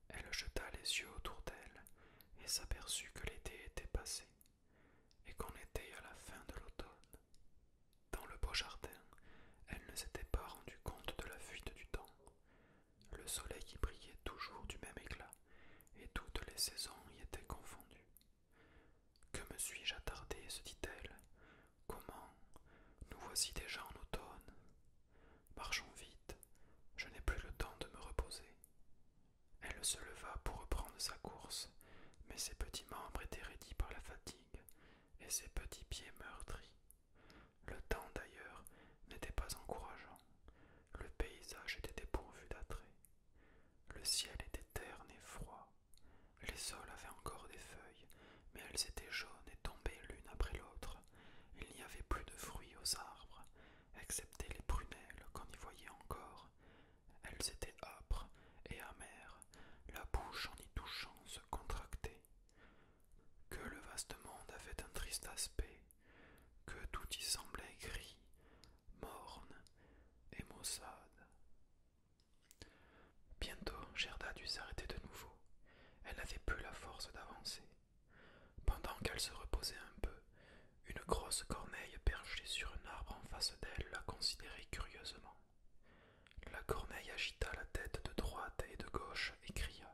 Elle jeta les yeux autour d'elle et s'aperçut que l'été était passé et qu'on était à la fin de l'automne. Dans le beau jardin, elle ne s'était pas rendue compte de la fuite du temps. Le soleil y brillait toujours du même éclat, et toutes les saisons y étaient confondues. Que me suis-je attardée se dit-elle. Comment Nous voici déjà en automne. Marchons vite, je n'ai plus le temps de me reposer. Elle se leva pour reprendre sa course, mais ses petits membres étaient raidis par la fatigue, et ses petits pieds meurtris le temps, d'ailleurs, n'était pas encourageant. Le paysage était dépourvu d'attraits. Le ciel était terne et froid. Les sols avaient encore des feuilles, mais elles étaient jaunes et tombaient l'une après l'autre. Il n'y avait plus de fruits aux arbres, excepté les prunelles qu'on y voyait encore. Elles étaient âpres et amères, la bouche en y touchant se contractait que le vaste monde avait un triste aspect, que tout y semblait gris, morne et maussade. Bientôt Gerda dut s'arrêter de nouveau. Elle n'avait plus la force d'avancer. Pendant qu'elle se reposait un peu, une grosse corneille perchée sur un arbre en face d'elle la considérait curieusement. La corneille agita la tête de droite et de gauche et cria.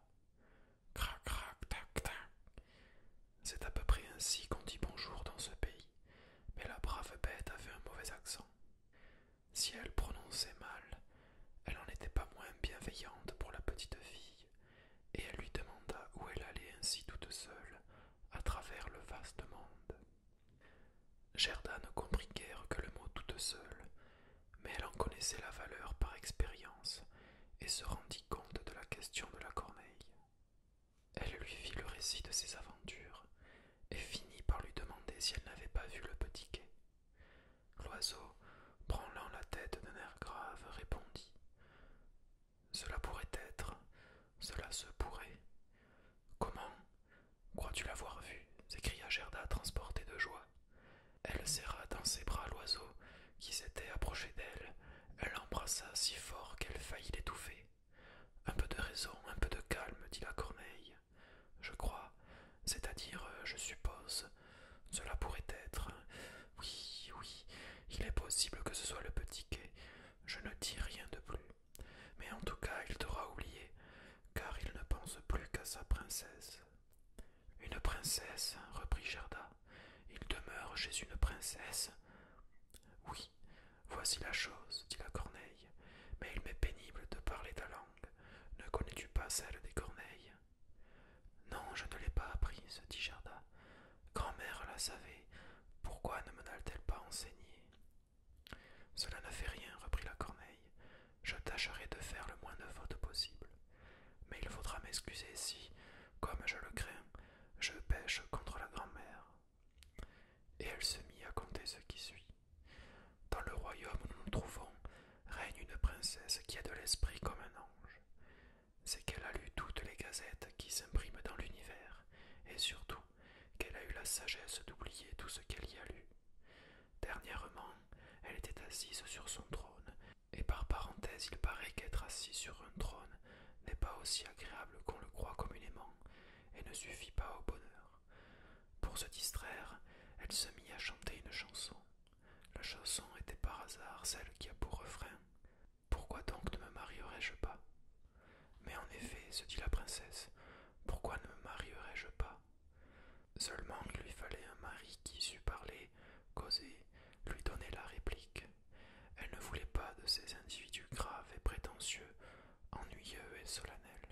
Crac, crac, tac, tac. C'est à peu près ainsi qu'on dit bonjour dans ce pays, mais la brave bête avait un mauvais accent. Si elle prononçait mal, elle n'en était pas moins bienveillante pour la petite fille, et elle lui demanda où elle allait ainsi toute seule, à travers le vaste monde. Gerda ne comprit guère que le mot toute seule, mais elle en connaissait la valeur par expérience et se rendit compte de la question de la corneille. Elle lui fit le récit de ses aventures et finit par lui demander si elle n'avait pas vu le petit quai. L'oiseau, branlant la tête d'un air grave, répondit Cela pourrait être, cela se pourrait. Comment Crois-tu l'avoir vu s'écria Gerda, transportée de joie. Elle serra dans ses bras l'oiseau qui s'était approché d'elle. Elle l'embrassa si fort qu'elle faillit l'étouffer. Un peu de raison, un peu de calme, dit la corneille. Je crois, c'est-à-dire, euh, je suppose, cela pourrait être. Euh, oui, oui, il est possible que ce soit le petit quai. Je ne dis rien de plus. Mais en tout cas, il t'aura oublié, car il ne pense plus qu'à sa princesse. Une princesse, reprit Gerda. Il demeure chez une princesse. Oui, voici la chose, dit la corneille, mais il m'est pénible de parler ta langue. Ne connais-tu pas celle des corneilles Non, je ne l'ai pas apprise, dit Gerda. Grand-mère la savait. Pourquoi ne me na t elle pas enseignée Cela ne fait rien, reprit la corneille. Je tâcherai de faire le moins de fautes possible. Mais il faudra m'excuser si, comme je le crains, je pêche contre la grand-mère. Et elle se mit à conter ce qui suit. Dans le royaume où nous nous trouvons, règne une princesse qui a de l'esprit comme un ange. C'est qu'elle a lu toutes les gazettes qui s'impriment dans l'univers, et surtout qu'elle a eu la sagesse d'oublier tout ce qu'elle y a lu, Dernièrement, elle était assise sur son trône, et par parenthèse il paraît qu'être assise sur un trône n'est pas aussi agréable qu'on le croit communément, et ne suffit pas au bonheur. Pour se distraire, elle se mit à chanter une chanson. La chanson était par hasard celle qui a pour refrain. Pourquoi donc ne me marierais je pas? Mais en effet, se dit la princesse, pourquoi ne me marierais je pas? Seulement il lui fallait un mari qui sût parler, causer, lui donner la réplique. Elle ne voulait pas de ces individus graves et prétentieux, ennuyeux et solennels.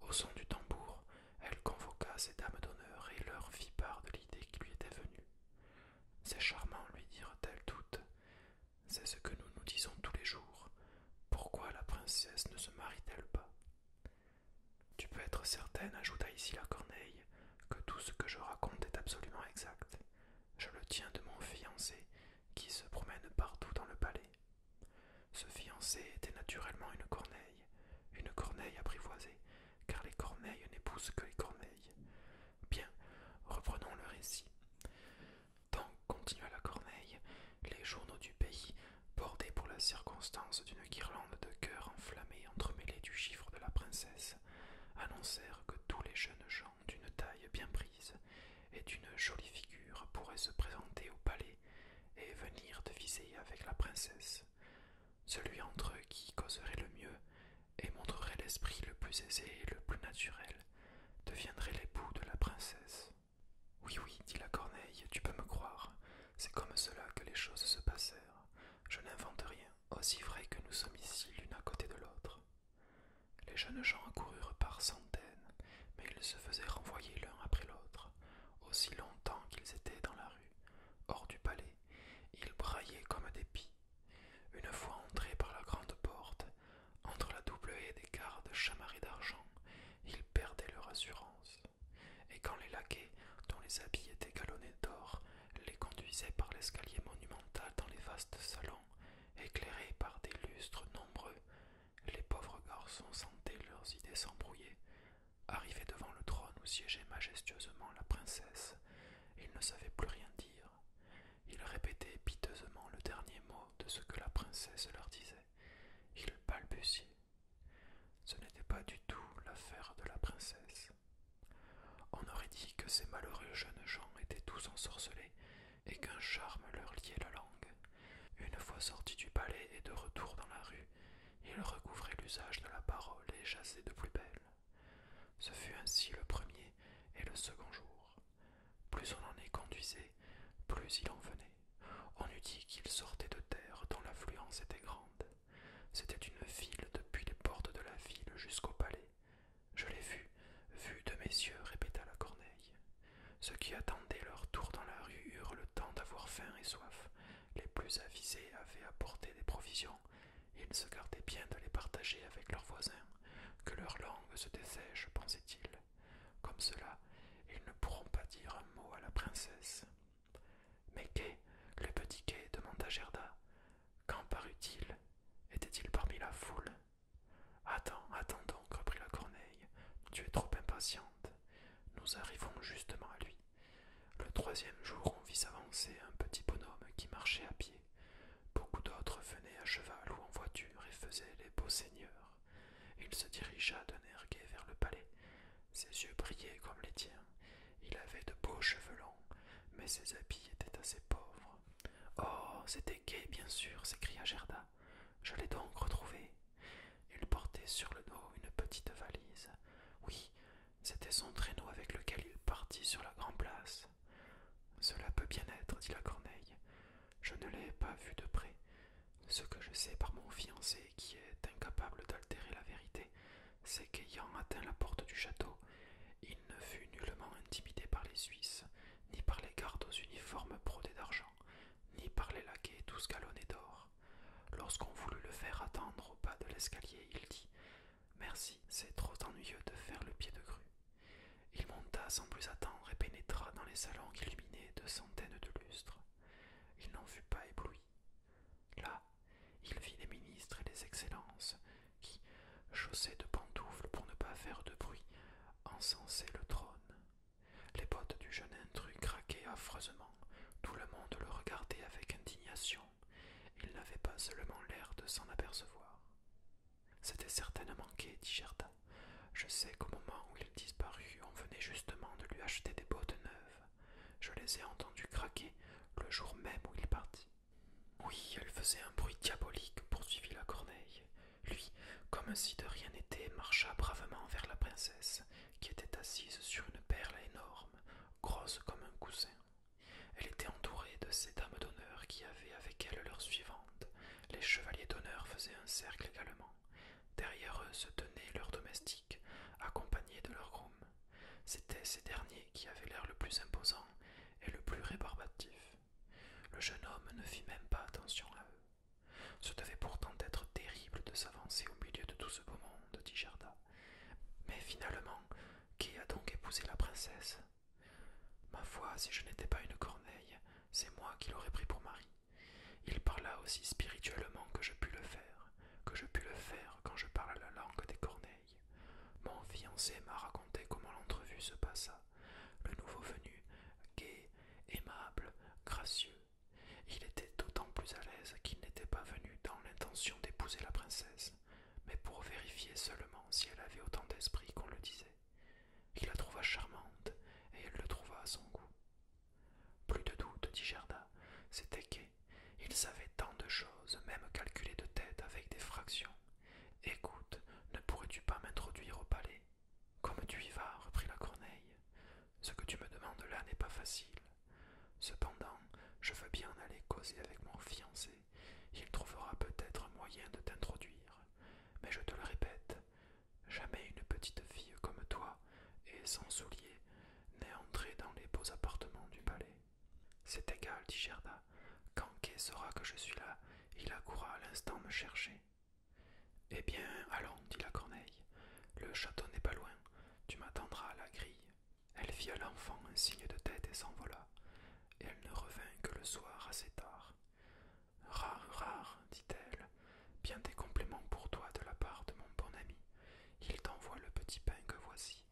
Au son du tambour, elle convoqua ses dames d'honneur et leur fit part de l'idée qui lui était venue. C'est charmant, lui dirent-elles toutes. C'est ce que nous nous disons tous les jours. Pourquoi la princesse ne se marie-t-elle pas tu peux être certaine, ajouta ici la Corneille, que tout ce que je raconte est absolument exact. Je le tiens de mon fiancé, qui se promène partout dans le palais. Ce fiancé était naturellement une corneille, une corneille apprivoisée, car les corneilles n'épousent que les corneilles. Bien, reprenons le récit. Tant, continua la corneille, les journaux du pays Bordés pour la circonstance d'une guirlande de cœurs enflammés entremêlés du chiffre de la princesse, annoncèrent que tous les jeunes gens d'une taille bien prise et d'une jolie figure pourraient se présenter au palais et venir viser avec la princesse. Celui entre eux qui causerait le mieux et montrerait l'esprit le plus aisé et le plus naturel deviendrait l'époux de la princesse. Oui, oui, dit la corneille, tu peux me croire, c'est comme cela que les choses se passèrent. Je n'invente rien, aussi vrai que nous sommes ici l'une à côté de l'autre. Les jeunes gens coururent par centaines, mais ils se faisaient renvoyer l'un après l'autre, aussi longtemps qu'ils étaient dans la rue, hors du palais. Ils braillaient comme des pis. Une fois entrés par la grande porte, entre la double haie des gardes chamarrés d'argent, ils perdaient leur assurance et quand les laquais, dont les habits étaient galonnés d'or, les conduisaient par l'escalier monumental dans les vastes salons, éclairés par des lustres nombreux, les pauvres garçons sentaient leurs idées s'embrouiller. Arrivés devant le trône où siégeait majestueusement la princesse, ils ne savaient plus rien dire. Ils répétaient piteusement le dernier mot de ce que la princesse leur disait. Ils balbutiaient, ce n'était pas du tout l'affaire de la princesse. On aurait dit que ces malheureux jeunes gens étaient tous ensorcelés et qu'un charme leur liait la langue. Une fois sortis du palais et de retour dans la rue, ils recouvraient l'usage de la parole et chassaient de plus belle. Ce fut ainsi le premier et le second jour. Plus on en est conduisait, plus il en venait. On eût dit qu'ils sortaient de terre dont l'affluence était grande. C'était une ville depuis les portes de la ville jusqu'au palais. Je l'ai vu, vue de mes yeux, répéta la corneille. Ceux qui attendaient leur tour dans la rue eurent le temps d'avoir faim et soif. Les plus avisés avaient apporté des provisions. Ils se gardaient bien de les partager avec leurs voisins. Que leur langue se dessèche, pensaient-ils. Comme cela, ils ne pourront pas dire un mot à la princesse. Mais qu'est, le petit quai ?» demanda Gerda. Quand parut-il Était-il parmi la foule Attends, attends donc, reprit la corneille. Tu es trop impatiente. Nous arrivons justement à lui. Le troisième jour, on vit s'avancer un petit bonhomme qui marchait à pied. Beaucoup d'autres venaient à cheval ou en voiture et faisaient les beaux seigneurs. Il se dirigea d'un air gai vers le palais ses yeux brillaient comme les tiens. Il avait de beaux cheveux longs, mais ses habits étaient assez pauvres. Oh, c'était gai, bien sûr, s'écria Gerda. Je l'ai donc retrouvé. Il portait sur le dos une petite valise. Oui, c'était son traîneau avec lequel il partit sur la grande place. Cela peut bien être, dit la corneille. Je ne l'ai pas vu de près. Ce que je sais par mon fiancé qui est incapable d'altérer la vérité, c'est qu'ayant atteint la porte du château, il ne fut nullement intimidé par les Suisses, ni par les gardes aux uniformes brodés d'argent, ni par les laquais tous galonnés d'or. Lorsqu'on voulut le faire attendre au bas de l'escalier, il dit Merci, c'est trop ennuyeux de faire le pied de crue. » Il monta sans plus attendre et pénétra dans les salons illuminés de centaines de lustres. Il n'en fut pas ébloui. Là, il vit les ministres et les excellences qui, chaussés de pantoufles pour ne pas faire de bruit, encensaient le trône. Les bottes du jeune intrus craquaient affreusement, tout le monde le regardait avec indignation, il n'avait pas seulement l'air de s'en apercevoir. C'était certainement qu'il dit Gerda. Je sais qu'au moment où il disparut, on venait justement de lui acheter des bottes neuves. Je les ai entendus craquer le jour même où il partit. Oui, elle faisait un bruit diabolique, poursuivit la corneille. Lui, comme si de rien n'était, marcha bravement vers la princesse, qui était assise sur une perle énorme, grosse comme un coussin. Elle était entourée de ces dames d'honneur qui avaient avec elle leurs suivantes. Les chevaliers d'honneur faisaient un cercle également. Derrière eux se tenaient leurs domestiques, accompagnés de leurs grooms. C'était C'étaient ces derniers qui avaient l'air le plus imposant et le plus rébarbatif. Le jeune homme ne fit même pas attention à eux. Ce devait pourtant être terrible de s'avancer au milieu de tout ce beau monde, dit Gerda. Mais finalement, qui a donc épousé la princesse Ma foi, si je n'étais pas une corneille, c'est moi qui l'aurais pris pour mari. Il parla aussi spirituellement que je pus le faire que je pus le faire quand je parle la langue des corneilles. Mon fiancé m'a raconté comment l'entrevue se passa. Le nouveau venu, gai, aimable, gracieux. Il était d'autant plus à l'aise qu'il n'était pas venu dans l'intention d'épouser la princesse, mais pour vérifier seulement si elle avait autant d'esprit qu'on le disait. Il la trouva charmante, et elle le trouva à son goût. Plus de doute, dit Gerda, c'était il savait tant de choses, même calculer de tête avec des fractions. Écoute, ne pourrais-tu pas m'introduire au palais Comme tu y vas, reprit la corneille. Ce que tu me demandes là n'est pas facile. Cependant, je veux bien aller causer avec mon fiancé. Il trouvera peut-être moyen de t'introduire. Mais je te le répète, jamais une petite fille comme toi et sans souliers, n'est entré dans les beaux appartements du palais. C'est égal, dit Gerda. Quand Kay saura que je suis là, il accourra à l'instant me chercher. Eh bien, allons, dit la corneille. Le château n'est pas loin. Tu m'attendras à la grille. Elle fit à l'enfant un signe de tête et s'envola, et elle ne revint que le soir assez tard. Rare, rare, dit-elle, bien des compliments pour toi de la part de mon bon ami. Il t'envoie le petit pain que voici.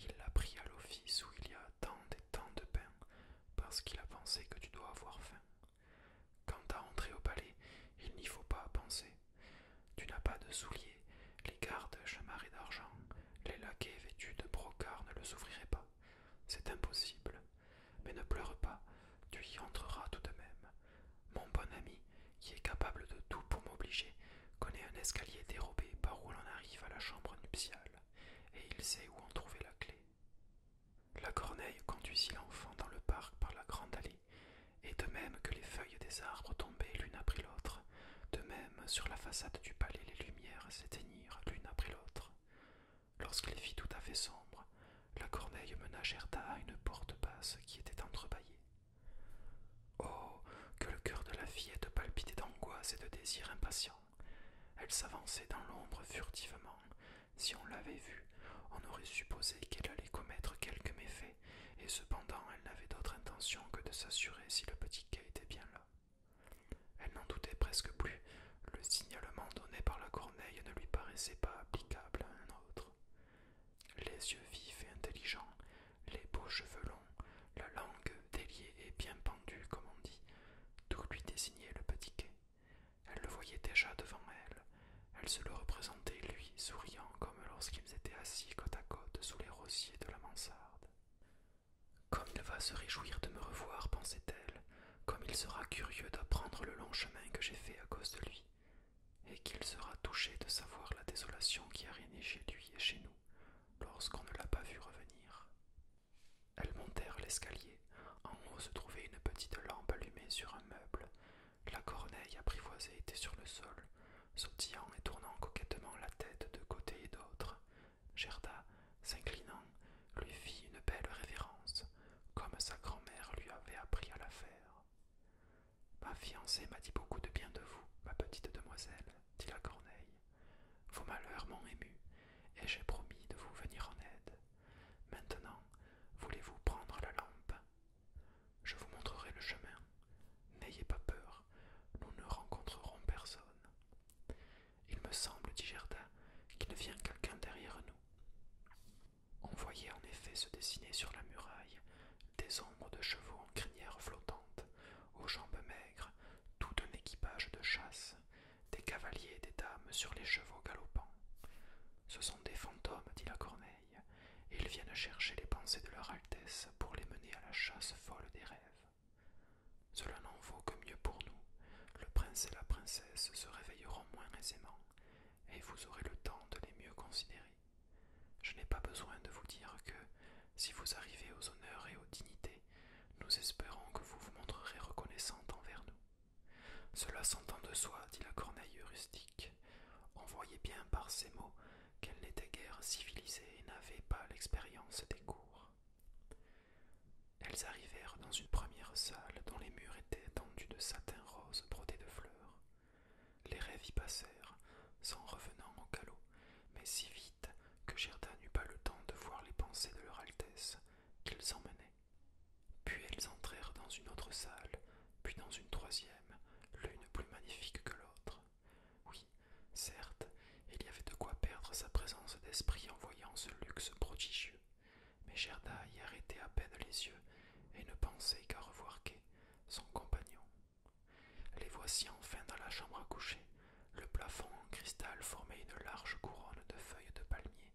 Il l'a pris à l'office où il y a tant et tant de pain, parce qu'il a pensé que tu dois avoir faim. Quand à entrer au palais, il n'y faut pas penser. Tu n'as pas de souliers, les gardes chamarrés d'argent, les laquais vêtus de brocart ne le souffriraient pas. C'est impossible. Mais ne pleure pas, tu y entreras tout de même. Mon bon ami, qui est capable de tout pour m'obliger, connaît un escalier dérobé par où l'on arrive à la chambre nuptiale, et il sait où en trouver la clé. La corneille conduisit l'enfant dans le parc par la grande allée, et de même que les feuilles des arbres tombaient l'une après l'autre, de même sur la façade du palais les lumières s'éteignirent l'une après l'autre. Lorsqu'il fit tout à fait sombre, la corneille mena Gerda à une porte basse qui était entrebâillée. Oh, que le cœur de la fille fillette palpitait d'angoisse et de désir impatient. Elle s'avançait dans l'ombre furtivement. Si on l'avait vue, on aurait supposé qu'elle allait commettre quelque méfait, et cependant elle n'avait d'autre intention que de s'assurer si le petit quai était bien là. Elle n'en doutait presque plus, le signalement donné par la corneille ne lui paraissait pas applicable à un autre. Les yeux vifs et intelligents, les beaux cheveux longs, la langue déliée et bien pendue, comme on dit, tout lui désignait le petit quai. Elle le voyait déjà devant elle, elle se le représentait, lui, souriant comme lorsqu'ils étaient assis côte à côte sous les rosiers de la mansarde. Comme il va se réjouir de me revoir, pensait-elle, comme il sera curieux d'apprendre le long chemin que j'ai fait à cause de lui et qu'il sera touché de savoir la désolation qui a régné chez lui et chez nous lorsqu'on ne l'a pas vu revenir. Elles montèrent l'escalier. En haut se trouvait une petite lampe allumée sur un meuble. La corneille apprivoisée était sur le sol, sautillant et tournant coquettement la tête de côté et d'autre. Gerda, s'inclinant, lui fit une belle révérence, comme sa grand-mère lui avait appris à la faire. Ma fiancée m'a dit beaucoup de bien de vous, ma petite demoiselle, dit la corneille. Vos malheurs m'ont ému, et j'ai promis de vous venir en aide. Maintenant, voulez-vous prendre la lampe Je vous montrerai le chemin. N'ayez pas peur, nous ne rencontrerons personne. Il me semble, dit Gerda, qu'il vient quelqu'un derrière nous. On voyait en effet se dessiner sur la muraille des ombres de chevaux en crinière flottante aux jambes maigres, tout un équipage de chasse, des cavaliers et des dames sur les chevaux galopants. Ce sont des fantômes, dit la corneille, et ils viennent chercher les pensées de leur Altesse pour les mener à la chasse folle des rêves. Cela n'en vaut que mieux pour nous. Le prince et la princesse se réveilleront moins aisément, et vous aurez le temps de les mieux considérer. Je n'ai pas besoin de vous dire que, si vous arrivez aux honneurs et aux dignités, nous espérons que vous vous montrerez reconnaissante envers nous. Cela s'entend de soi, dit la corneille rustique. On voyait bien par ces mots qu'elle n'était guère civilisée et n'avait pas l'expérience des cours. Elles arrivèrent dans une première salle dont les murs étaient tendus de satin rose brodé de fleurs. Les rêves y passèrent, sans revenant au calot mais si vite que Gerda n'eut pas le temps de voir les pensées de leur Altesse, qu'ils emmenaient. Puis elles entrèrent dans une autre salle, puis dans une troisième, l'une plus magnifique que l'autre. Oui, certes, il y avait de quoi perdre sa présence d'esprit en voyant ce luxe prodigieux, mais Gerda y arrêtait à peine les yeux et ne pensait qu'à revoir Kay, son compagnon. Les voici enfin dans la chambre à coucher, le plafond en cristal formait une large couronne de feuilles de palmier.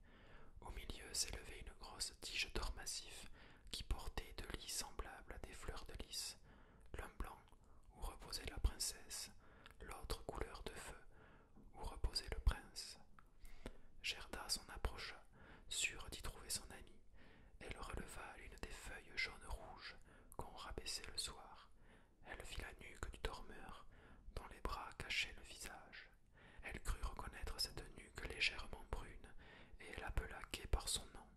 Au milieu s'élevait une grosse tige d'or massif qui portait de lits semblables à des fleurs de lys, l'un blanc où reposait la princesse, l'autre couleur de feu où reposait le prince. Gerda s'en approcha, sûre d'y trouver son ami. Elle releva l'une des feuilles jaune rouge qu'on rabaissait le soir. Elle vit la nuque du dormeur, dont les bras cachaient le visage. Elle crut reconnaître cette nuque légèrement brune, et elle appela quai par son nom,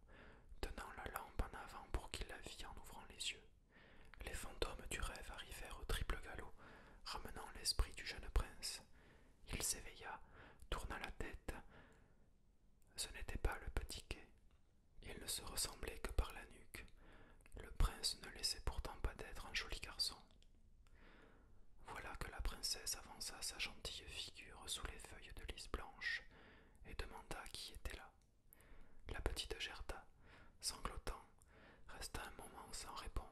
tenant la lampe en avant pour qu'il la vît en ouvrant les yeux. Les fantômes du rêve arrivèrent au triple galop, ramenant l'esprit du jeune prince. Il s'éveilla, tourna la tête. Ce n'était pas le petit quai. Il ne se ressemblait que par la nuque. Le prince ne laissait pourtant pas d'être un joli garçon. Voilà que la princesse avança sa gentille figure sous les feuilles de lys blanche et demanda qui était là. La petite gerta sanglotant, resta un moment sans répondre.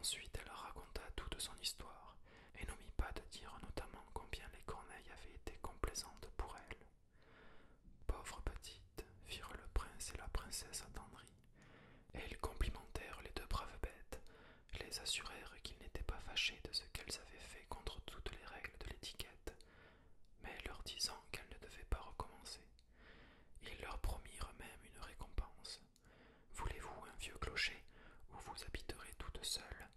Ensuite elle raconta toute son histoire et n'omit pas de dire notamment combien les corneilles avaient été complaisantes pour elle Pauvres petite, firent le prince et la princesse attendrie, et ils complimentèrent les deux braves bêtes, les assurèrent qu'ils n'étaient pas fâchés de ce qu'elles avaient fait contre toutes les règles de l'étiquette, mais leur disant qu'elles ne devaient pas recommencer. Ils leur promirent même une récompense. Voulez-vous un vieux clocher où vous habiterez toutes seules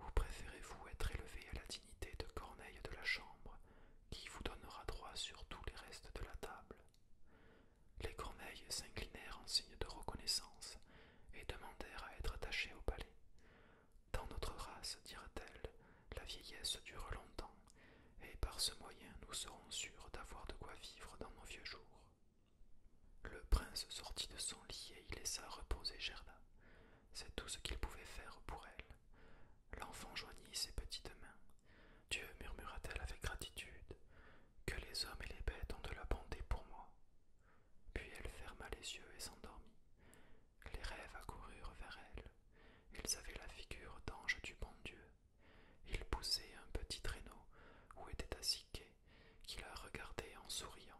ou préférez-vous être élevé à la dignité de corneille de la chambre, qui vous donnera droit sur tous les restes de la table Les corneilles s'inclinèrent en signe de reconnaissance et demandèrent à être attachées au palais. Dans notre race, dira-t-elle, la vieillesse dure longtemps, et par ce moyen nous serons sûrs d'avoir de quoi vivre dans nos vieux jours. Le prince sortit de son lit et y laissa reposer Gerda. C'est tout ce qu'il pouvait faire pour elle. L'enfant joignit ses petites mains. Dieu, murmura-t-elle avec gratitude, que les hommes et les bêtes ont de la bonté pour moi. Puis elle ferma les yeux et s'endormit. Les rêves accoururent vers elle. Ils avaient la figure d'ange du bon Dieu. Ils poussaient un petit traîneau où était assis qui la regardait en souriant.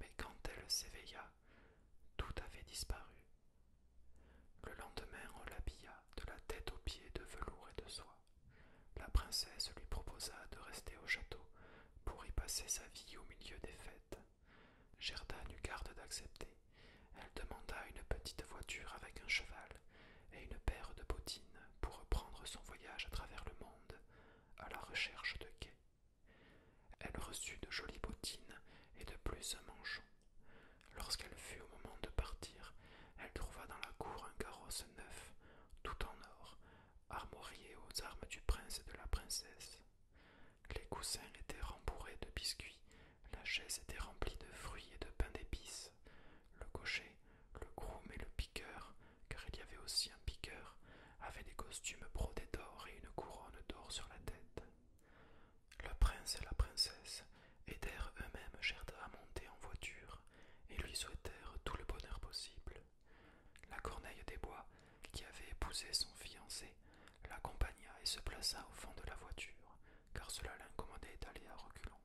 Mais quand elle s'éveilla, tout avait disparu. Le lendemain, on l'habilla de la tête aux pieds de velours et de soie. La princesse lui proposa de rester au château pour y passer sa vie au milieu des fêtes. Gerda n'eut garde d'accepter. Elle demanda une petite voiture avec un cheval et une paire de bottines pour reprendre son voyage à travers le monde à la recherche de quai. Elle reçut de jolies bottines et de plus un manchon. Lorsqu'elle fut au moment de partir, elle trouva dans la cour un carrosse neuf, tout en or, armorié aux armes du prince et de la princesse. Les coussins étaient rembourrés de biscuits, la chaise était remplie de fruits et de pain d'épices. Le cocher, le groom et le piqueur, car il y avait aussi un piqueur, avait des costumes brodés d'or et une couronne d'or sur la tête. Le prince et la princesse aidèrent eux-mêmes Gerda à monter en voiture et lui souhaitèrent tout le bonheur possible. La corneille des bois, qui avait épousé son fiancé, l'accompagna et se plaça au fond de la voiture, car cela l'incommodait d'aller à reculons.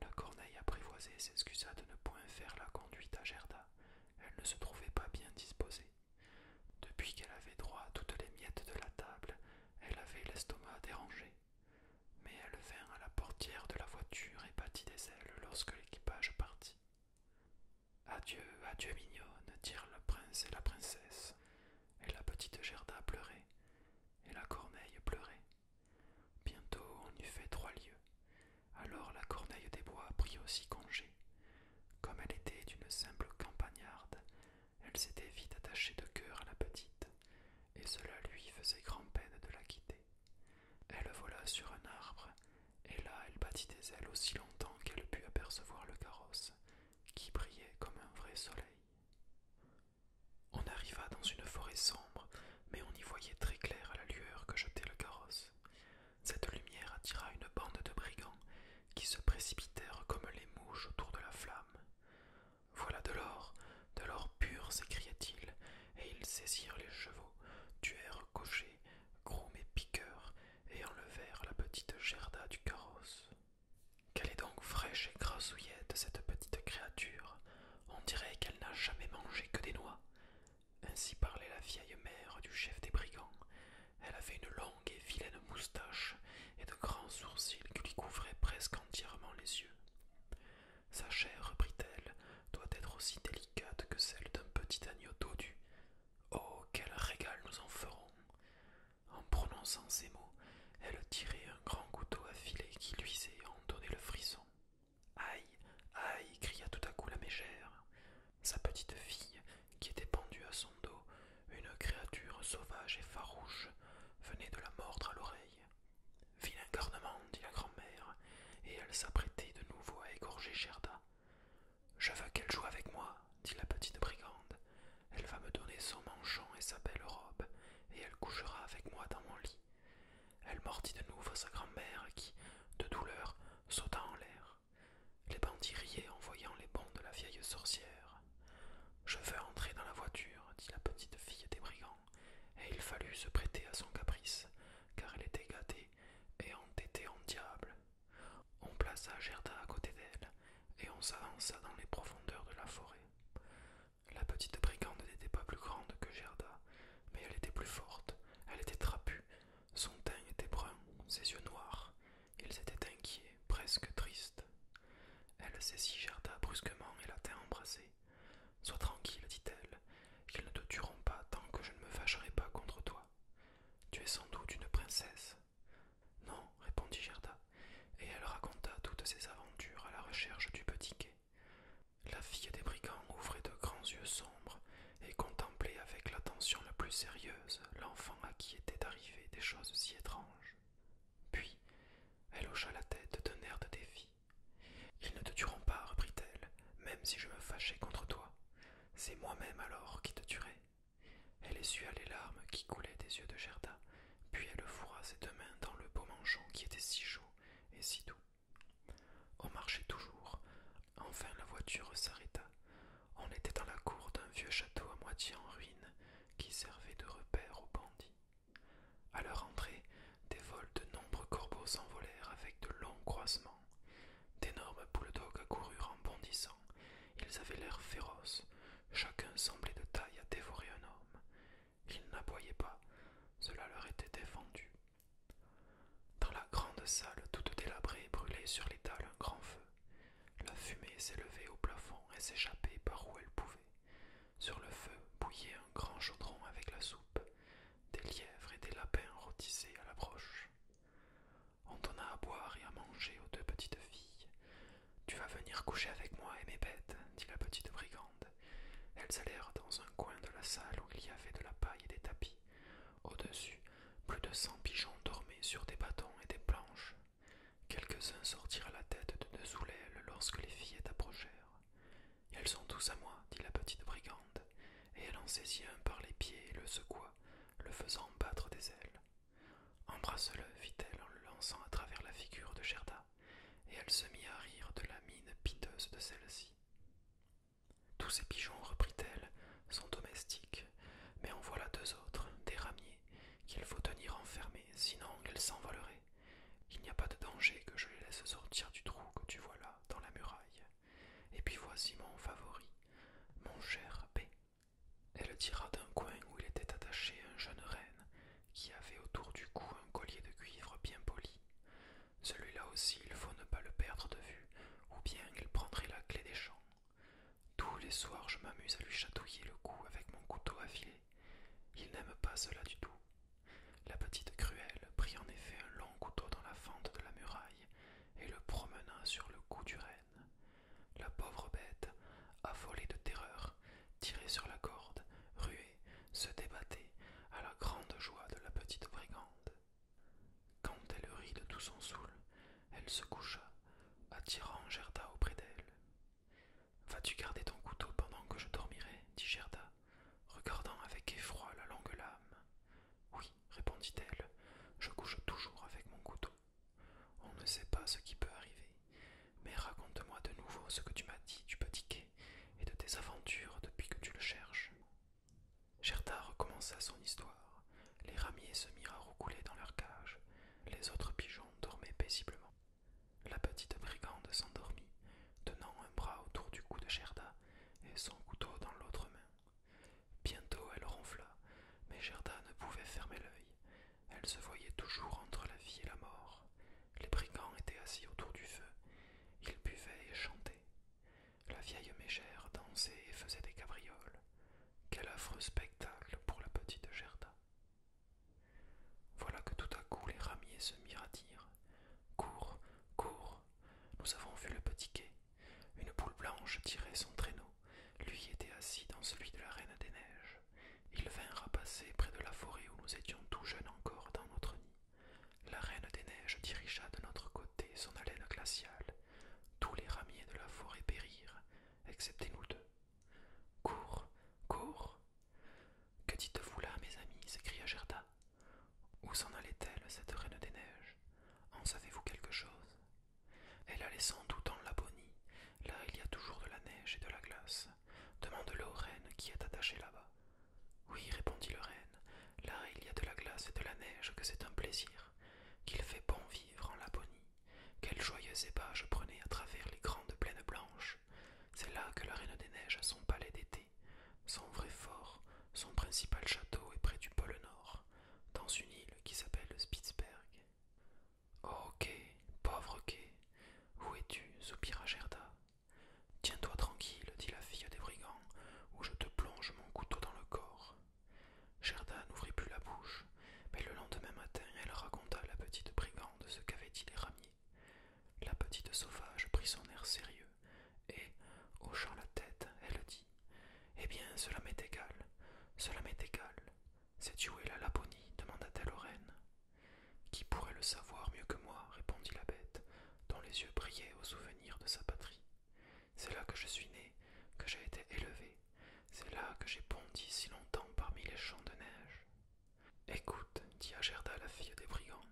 La corneille apprivoisée s'excusa de ne point faire la conduite à Gerda. Elle ne se trouvait pas bien disposée. Depuis qu'elle avait droit à toutes les miettes de la table, elle avait l'estomac dérangé. Mais elle vint à la portière de la voiture et battit des ailes lorsque l'équipage partit. Adieu, adieu mignonne, dirent le prince et la princesse. Et la petite Gerda pleurait, et la corneille pleurait. Bientôt on eut fait trois lieues. Alors la corneille des bois prit aussi congé comme elle était une simple campagnarde, elle s'était vite attachée de cœur à la petite, et cela lui faisait grand-peine de la quitter. Elle vola sur un arbre, et là elle battit des ailes aussi longtemps qu'elle put apercevoir le carrosse, qui brillait comme un vrai soleil. On arriva dans une forêt sombre, mais on y voyait très clair à la lueur que jetait le carrosse. Cette lumière attira une bande de brigands qui se précipitèrent comme les mouches autour de la flamme. Voilà de l'or, de l'or pur, s'écria-t-il, et ils saisirent les chevaux, tuèrent cocher, groom et piqueur, et enlevèrent la petite Gerda du carrosse. Qu'elle est donc fraîche et grassouillette, cette petite créature. On dirait qu'elle n'a jamais mangé que des noix. Ainsi parlait la vieille mère du chef des brigands, elle avait une longue et vilaine moustache et de grands sourcils qui lui couvraient presque entièrement les yeux. Sa chair, reprit-elle, doit être aussi délicate que celle d'un petit agneau dodu. Oh, quel régal nous en ferons En prononçant ces mots, elle tirait un grand couteau à affilé qui luisait et en le frisson. Aïe, aïe, cria tout à coup la mégère sa petite fille qui était pendue à son dos, une créature sauvage et farouche venait de la mordre à l'oreille. Vilain garnement, dit la grand-mère, et elle s'apprêtait de nouveau à égorger Gerda. Je veux qu'elle joue avec moi, dit la petite brigande. Elle va me donner son manchon et sa belle robe, et elle couchera avec moi dans mon lit. Elle mordit de nouveau sa grand-mère qui, de douleur, sauta en l'air. Les bandits riaient en voyant les bonds de la vieille sorcière. Je veux entrer dans la voiture, dit la petite fille des brigands, et il fallut se prêter à son caprice, car elle était gâtée et entêtée en diable. On plaça Gerda à côté d'elle, et on s'avança dans les profondeurs de la forêt. La petite brigande n'était pas plus grande que Gerda, mais elle était plus forte, elle était trapue, son teint était brun, ses yeux noirs, ils étaient inquiets, presque tristes. Elle saisit Gerda brusquement et la tint embrassée. Sois tranquille, dit-elle, qu'ils ne te tueront pas tant que je ne me fâcherai pas contre toi. Tu es sans doute une princesse. Non, répondit Gerda, et elle raconta toutes ses aventures à la recherche du petit quai. La fille des brigands ouvrait de grands yeux sombres et contemplait avec l'attention la plus sérieuse l'enfant à qui étaient arrivées des choses si étranges. Puis elle hocha la tête d'un air de défi. Ils ne te tueront pas, reprit-elle, même si je me fâchais contre toi. C'est moi-même alors qui te tuerai. Elle essuya les larmes qui coulaient des yeux de Gerda, puis elle fourra ses deux mains dans le beau manchon qui était si chaud et si doux. On marchait toujours, Enfin la voiture s'arrêta. On était dans la cour d'un vieux château à moitié en ruine qui servait de repère aux bandits. À leur entrée, des vols de nombreux corbeaux s'envolèrent avec de longs croisements. D'énormes bouledogues coururent en bondissant. Ils avaient l'air féroces. Chacun semblait de taille à dévorer un homme. Ils n'aboyaient pas. Cela leur était défendu. Dans la grande salle toute délabrée brûlait sur l'étal un grand feu. La fumée s'élevait au plafond et s'échappait par où elle pouvait. Sur le feu bouillait un grand chaudron avec la soupe, des lièvres et des lapins rôtissaient à la broche. On donna à boire et à manger aux deux petites filles. Tu vas venir coucher avec moi et mes bêtes, dit la petite brigande. Elles allèrent dans un coin de la salle où il y avait de la paille et des tapis. Au-dessus, plus de cent pigeons dormaient sur des bâtons et des planches. Quelques-uns sortirent la tête de dessous l'aile lorsque les fillettes approchèrent. Elles sont tous à moi, dit la petite brigande, et elle en saisit un par les pieds et le secoua, le faisant battre des ailes. Embrasse-le, fit-elle en le lançant à travers la figure de Gerda, et elle se mit à rire de la mine piteuse de celle-ci. Tous ces pigeons, reprit-elle, sont domestiques, mais en voilà deux autres, des ramiers, qu'il faut tenir enfermés, sinon qu'elles s'envoleraient. Il n'y a pas de danger que je les laisse sortir du trou que tu vois là, dans la muraille. Et puis voici mon favori, mon cher B. Elle tira d'un coin où il était attaché un jeune renne, qui avait autour du cou un collier de cuivre bien poli. Celui-là aussi, il faut ne pas le perdre de vue, ou bien il prendrait la clé des champs. Tous les soirs, je m'amuse à lui chatouiller le cou avec mon couteau affilé. Il n'aime pas cela du tout. La petite Cruelle prit en effet un long couteau dans la fente de la muraille et le promena sur le cou du renne. La pauvre bête, affolée de terreur, tirait sur la corde, ruait, se débattait, à la grande joie de la petite brigande. Quand elle rit de tout son saoul, elle se coucha, attirant Gerda auprès d'elle. Vas-tu garder ton couteau pendant que je dormirai dit Gerda, regardant avec effroi la longue lame. Oui, répondit-elle, je couche toujours avec mon couteau. On ne sait pas ce qui peut arriver, mais raconte-moi de nouveau ce que tu m'as dit du petit quai et de tes aventures depuis que tu le cherches. Gerda recommença son histoire, les ramiers se mirent à roucouler dans leur cage, les autres pigeons dormaient paisiblement. La petite brigande s'endormit, tenant un bras autour du cou de Gerda et son couteau dans l'autre main. Bientôt elle ronfla, mais Gerda ne pouvait fermer l'œil. Elle se voyait toujours entre la vie et la mort. Les brigands étaient assis autour du feu. Ils buvaient et chantaient. La vieille mégère dansait et faisait des cabrioles. Quel affreux spectacle pour la petite Gerda. Voilà que tout à coup les ramiers se mirent à dire. Cours, cours. Nous avons vu le petit quai. Une boule blanche tirait son traîneau. Lui était assis dans celui de la Reine des Neiges. il vinrent à passer près de la forêt où nous étions tout jeunes encore dans notre nid. La Reine des Neiges dirigea de notre côté son haleine glaciale. Tous les ramiers de la forêt périrent, excepté nous deux. Cours, cours. Que dites-vous là, mes amis s'écria Gerda. Où s'en allait-elle, cette reine des neiges En savez-vous quelque chose Elle allait sans doute en Labonie. Là, il y a toujours de la neige et de la glace. Demande-le au reine qui est attaché là-bas. Oui, répondit le reine, là, il y a de la glace et de la neige que c'est un plaisir, qu'il fait bon vivre en Labonie. Quelle joyeux ébats je prenais à travers les grandes plaines blanches. C'est là que la Reine des Neiges a son palais d'été, son vrai fort, son principal château est près du pôle Nord, dans une île qui s'appelle Spitzberg. Oh pauvre Kay, où es-tu soupira Gerda. Tiens-toi tranquille, dit la fille des brigands, ou je te plonge mon couteau dans le corps. Gerda n'ouvrit plus la bouche, mais le lendemain matin, elle raconta à la petite brigande ce qu'avaient dit les ramiers. La petite sauvage prit son air sérieux, et, hochant la tête, elle dit Eh bien, cela m'est égal, cela m'est égal. C'est où est la Laponie demanda-t-elle aux reines. Qui pourrait le savoir mieux que moi répondit la bête, dont les yeux brillaient au souvenir de sa patrie. C'est là que je suis née, que j'ai été élevée c'est là que j'ai bondi si longtemps parmi les champs de neige. Écoute, dit Agerda la fille des brigands,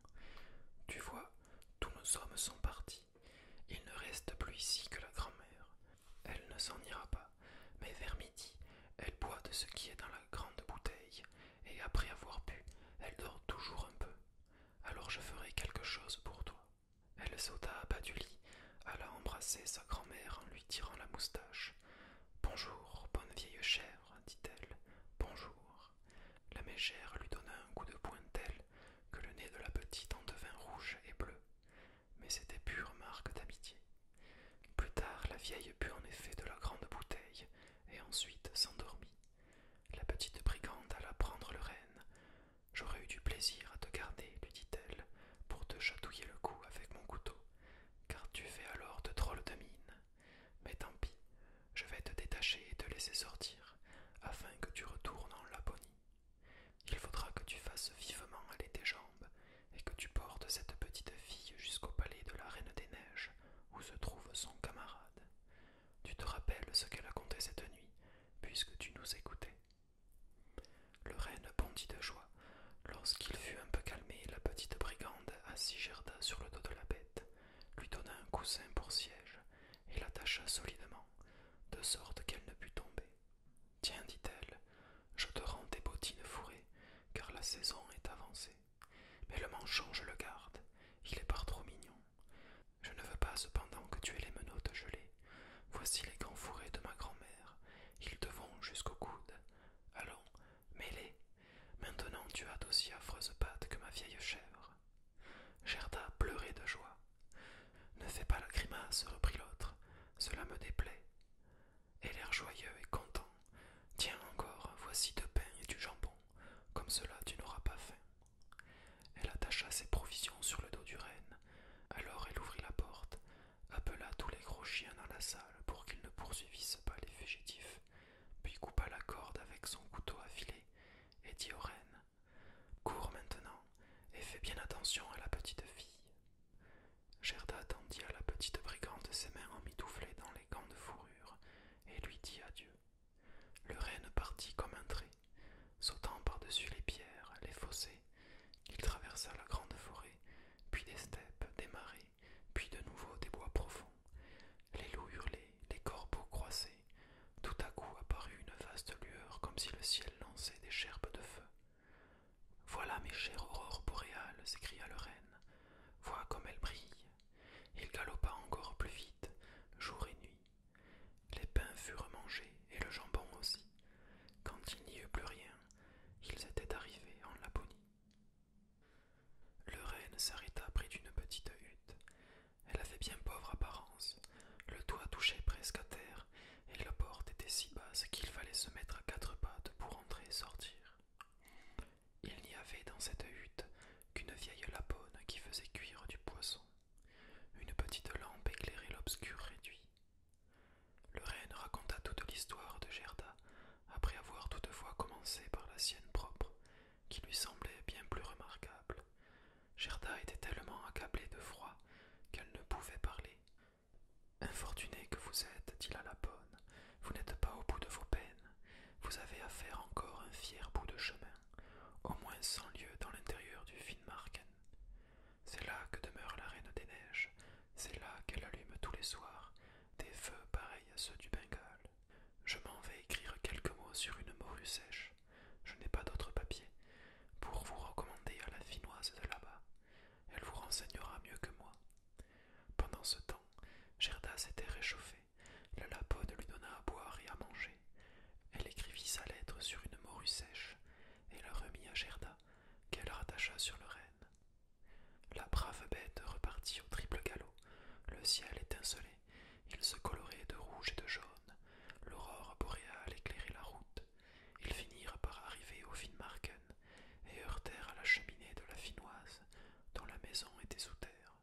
tu vois, tous nos hommes sont partis. Il ne reste plus ici que la grand'mère Elle ne s'en ira pas, mais vers midi, elle boit de ce qui est dans la grande bouteille, et après avoir bu, elle dort toujours un peu. Alors je ferai quelque chose pour toi. Elle sauta à bas du lit, alla embrasser sa grand-mère en lui tirant la moustache. Bonjour, bonne vieille chèvre dit-elle, bonjour. La mégère lui donna un coup de poing tel que le nez de la petite en devint rouge et bleu. Mais c'était pure marque d'amitié. Plus tard, la vieille put en effet de la grande bouteille et ensuite s'endormit. La petite brigante alla prendre le renne. J'aurais eu du plaisir à te garder, lui dit-elle, pour te chatouiller le cou avec mon couteau, car tu fais alors de drôles de mine. Mais tant pis, je vais te détacher et te laisser sortir, afin que tu retournes en Laponie. Il faudra que tu fasses vivement aller tes jambes, et que tu portes cette petite fille jusqu'au palais de la Reine des Neiges, où se trouve son camarade. Tu te rappelles ce qu'elle a conté cette nuit, puisque tu nous écoutais. Le renne bondit de joie lorsqu'il fut un peu calmé. La petite brigande assit Gerda sur le dos de la bête, lui donna un coussin pour siège et l'attacha solidement, de sorte qu'elle ne put tomber. Tiens, dit-elle, je te rends tes bottines fourrées, car la saison est avancée. Mais le manchon, je le garde, il est par trop mignon. Je ne veux pas cependant que tu aies les menottes gelées, Voici les gants fourrés de ma grand-mère, ils te vont jusqu'au coude. Allons, mets-les, Maintenant tu as d'aussi affreuses pattes que ma vieille chèvre. Gerda pleurait de joie. Ne fais pas la grimace, reprit l'autre, cela me déplaît. Elle l'air joyeux et content. Tiens encore, voici deux pains et du jambon. Comme cela tu n'auras pas faim. Elle attacha ses provisions sur le dos du renne. Alors elle ouvrit la porte, appela tous les gros chiens dans la salle pour qu'ils ne poursuivissent pas les fugitifs, puis coupa la corde avec son couteau affilé et dit au reine, « Cours maintenant et fais bien attention à la petite fille. Gerda tendit à la petite brigande ses mains emmitouflées dans les gants de fourrure et lui dit adieu. Le reine partit comme un trait, sautant par-dessus les pierres, les fossés. qu'il traversa la grande forêt puis des steppes, des marais, puis de nouveau des bois profonds. Les loups hurlaient, les corbeaux croissaient. Tout à coup apparut une vaste lueur comme si le ciel lançait des cherpes de feu. Voilà mes chères aurores boréales, s'écria le reine. « Vois comme elles brillent. Il galopa encore plus vite, jour et nuit. Les pains furent mangés, et le jambon aussi. Quand il n'y eut plus rien, ils étaient arrivés en Laponie. Le reine s'arrêta près d'une petite hutte. Elle avait bien pauvre apparence. Le toit touchait presque à terre, et la porte était si basse qu'il fallait se mettre à quatre pattes pour entrer et sortir. Il n'y avait dans cette hutte qu'une vieille lapone qui faisait cuire du poisson. Une petite lampe éclairait l'obscur réduit. Le reine raconta toute l'histoire de Gerda, après avoir toutefois commencé par la sienne propre, qui lui semblait bien plus remarquable. Gerda était tellement accablée de froid qu'elle ne pouvait parler. Infortunée que vous êtes, dit la Bonne, vous n'êtes pas au bout de vos peines. Vous avez à faire encore un fier bout de chemin, au moins cent lieues dans l'intérieur du Finmarken. C'est là que demeure la Reine des Neiges, c'est là qu'elle allume tous les soirs des feux pareils à ceux du Bengale. Je m'en vais écrire quelques mots sur une morue sèche. Je n'ai pas d'autre papier pour vous recommander à la Finoise de là-bas. Elle vous renseignera mieux que moi. Pendant ce temps, Gerda s'était réchauffée. La lapode lui donna à boire et à manger. Elle écrivit sa lettre sur une morue sèche et la remit à Gerda, qu'elle rattacha sur le renne. La brave bête repartit au triple galop. Le ciel étincelait. Il se colorait de rouge et de jaune. L'aurore boréale éclairait la route. Ils finirent par arriver au Finmarken et heurtèrent à la cheminée de la Finnoise, dont la maison était sous terre.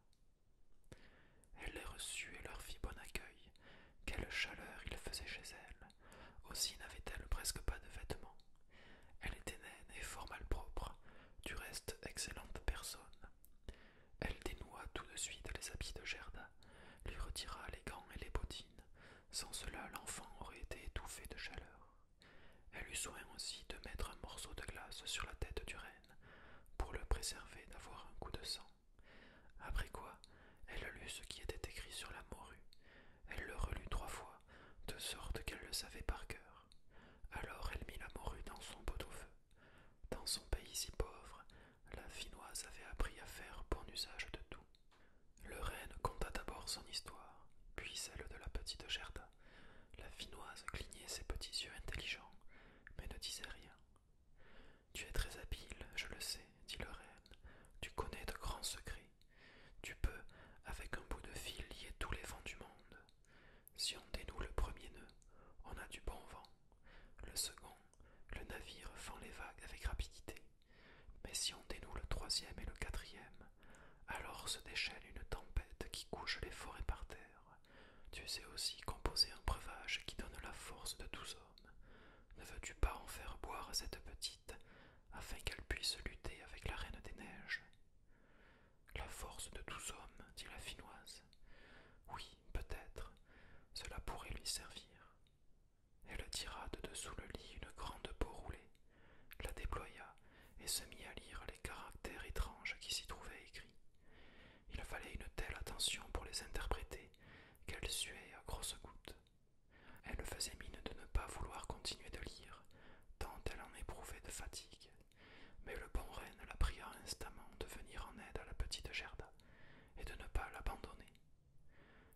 Elle les reçut et leur fit bon accueil. Quelle chaleur il faisait chez elle aussi n'avait-elle presque pas de vêtements. Elle était naine et fort mal propre, du reste excellente personne. Elle dénoua tout de suite les habits de Gerda, lui retira les gants et les bottines. Sans cela, l'enfant aurait été étouffé de chaleur. Elle eut soin aussi de mettre un morceau de glace sur la tête du reine, pour le préserver d'avoir un coup de sang. Après quoi, elle lut ce qui était écrit sur la morue, elle le relut trois fois, de sorte qu'elle le savait par cœur. Alors elle mit la morue dans son pot au feu. Dans son pays si pauvre, la Finnoise avait appris à faire bon usage de tout. Le reine conta d'abord son histoire, puis celle de la petite Gerda. La Finnoise clignait ses petits yeux intelligents, mais ne disait rien. Tu es très habile, je le sais, dit le reine, Tu connais de grands secrets. Tu peux, avec un bout de fil, lier tous les vents du monde. Si on dénoue le premier nœud, on a du bon vent. Le second, le navire fend les vagues avec rapidité. Mais si on dénoue le troisième et le quatrième, alors se déchaîne une tempête qui couche les forêts par terre. Tu sais aussi composer un breuvage qui donne la force de tous hommes. Ne veux-tu pas en faire boire cette petite afin qu'elle puisse lutter avec la reine des neiges. La force de tous hommes, dit la Finnoise. Oui, peut-être, cela pourrait lui servir. Elle tira de dessous le lit une grande peau roulée, la déploya et se mit à lire les caractères étranges qui s'y trouvaient écrits. Il fallait une telle attention pour les interpréter qu'elle suait à grosses gouttes. Elle faisait mine de ne pas vouloir continuer de lire, tant elle en éprouvait de fatigue. Mais le bon reine la pria instamment de venir en aide à la petite Gerda et de ne pas l'abandonner.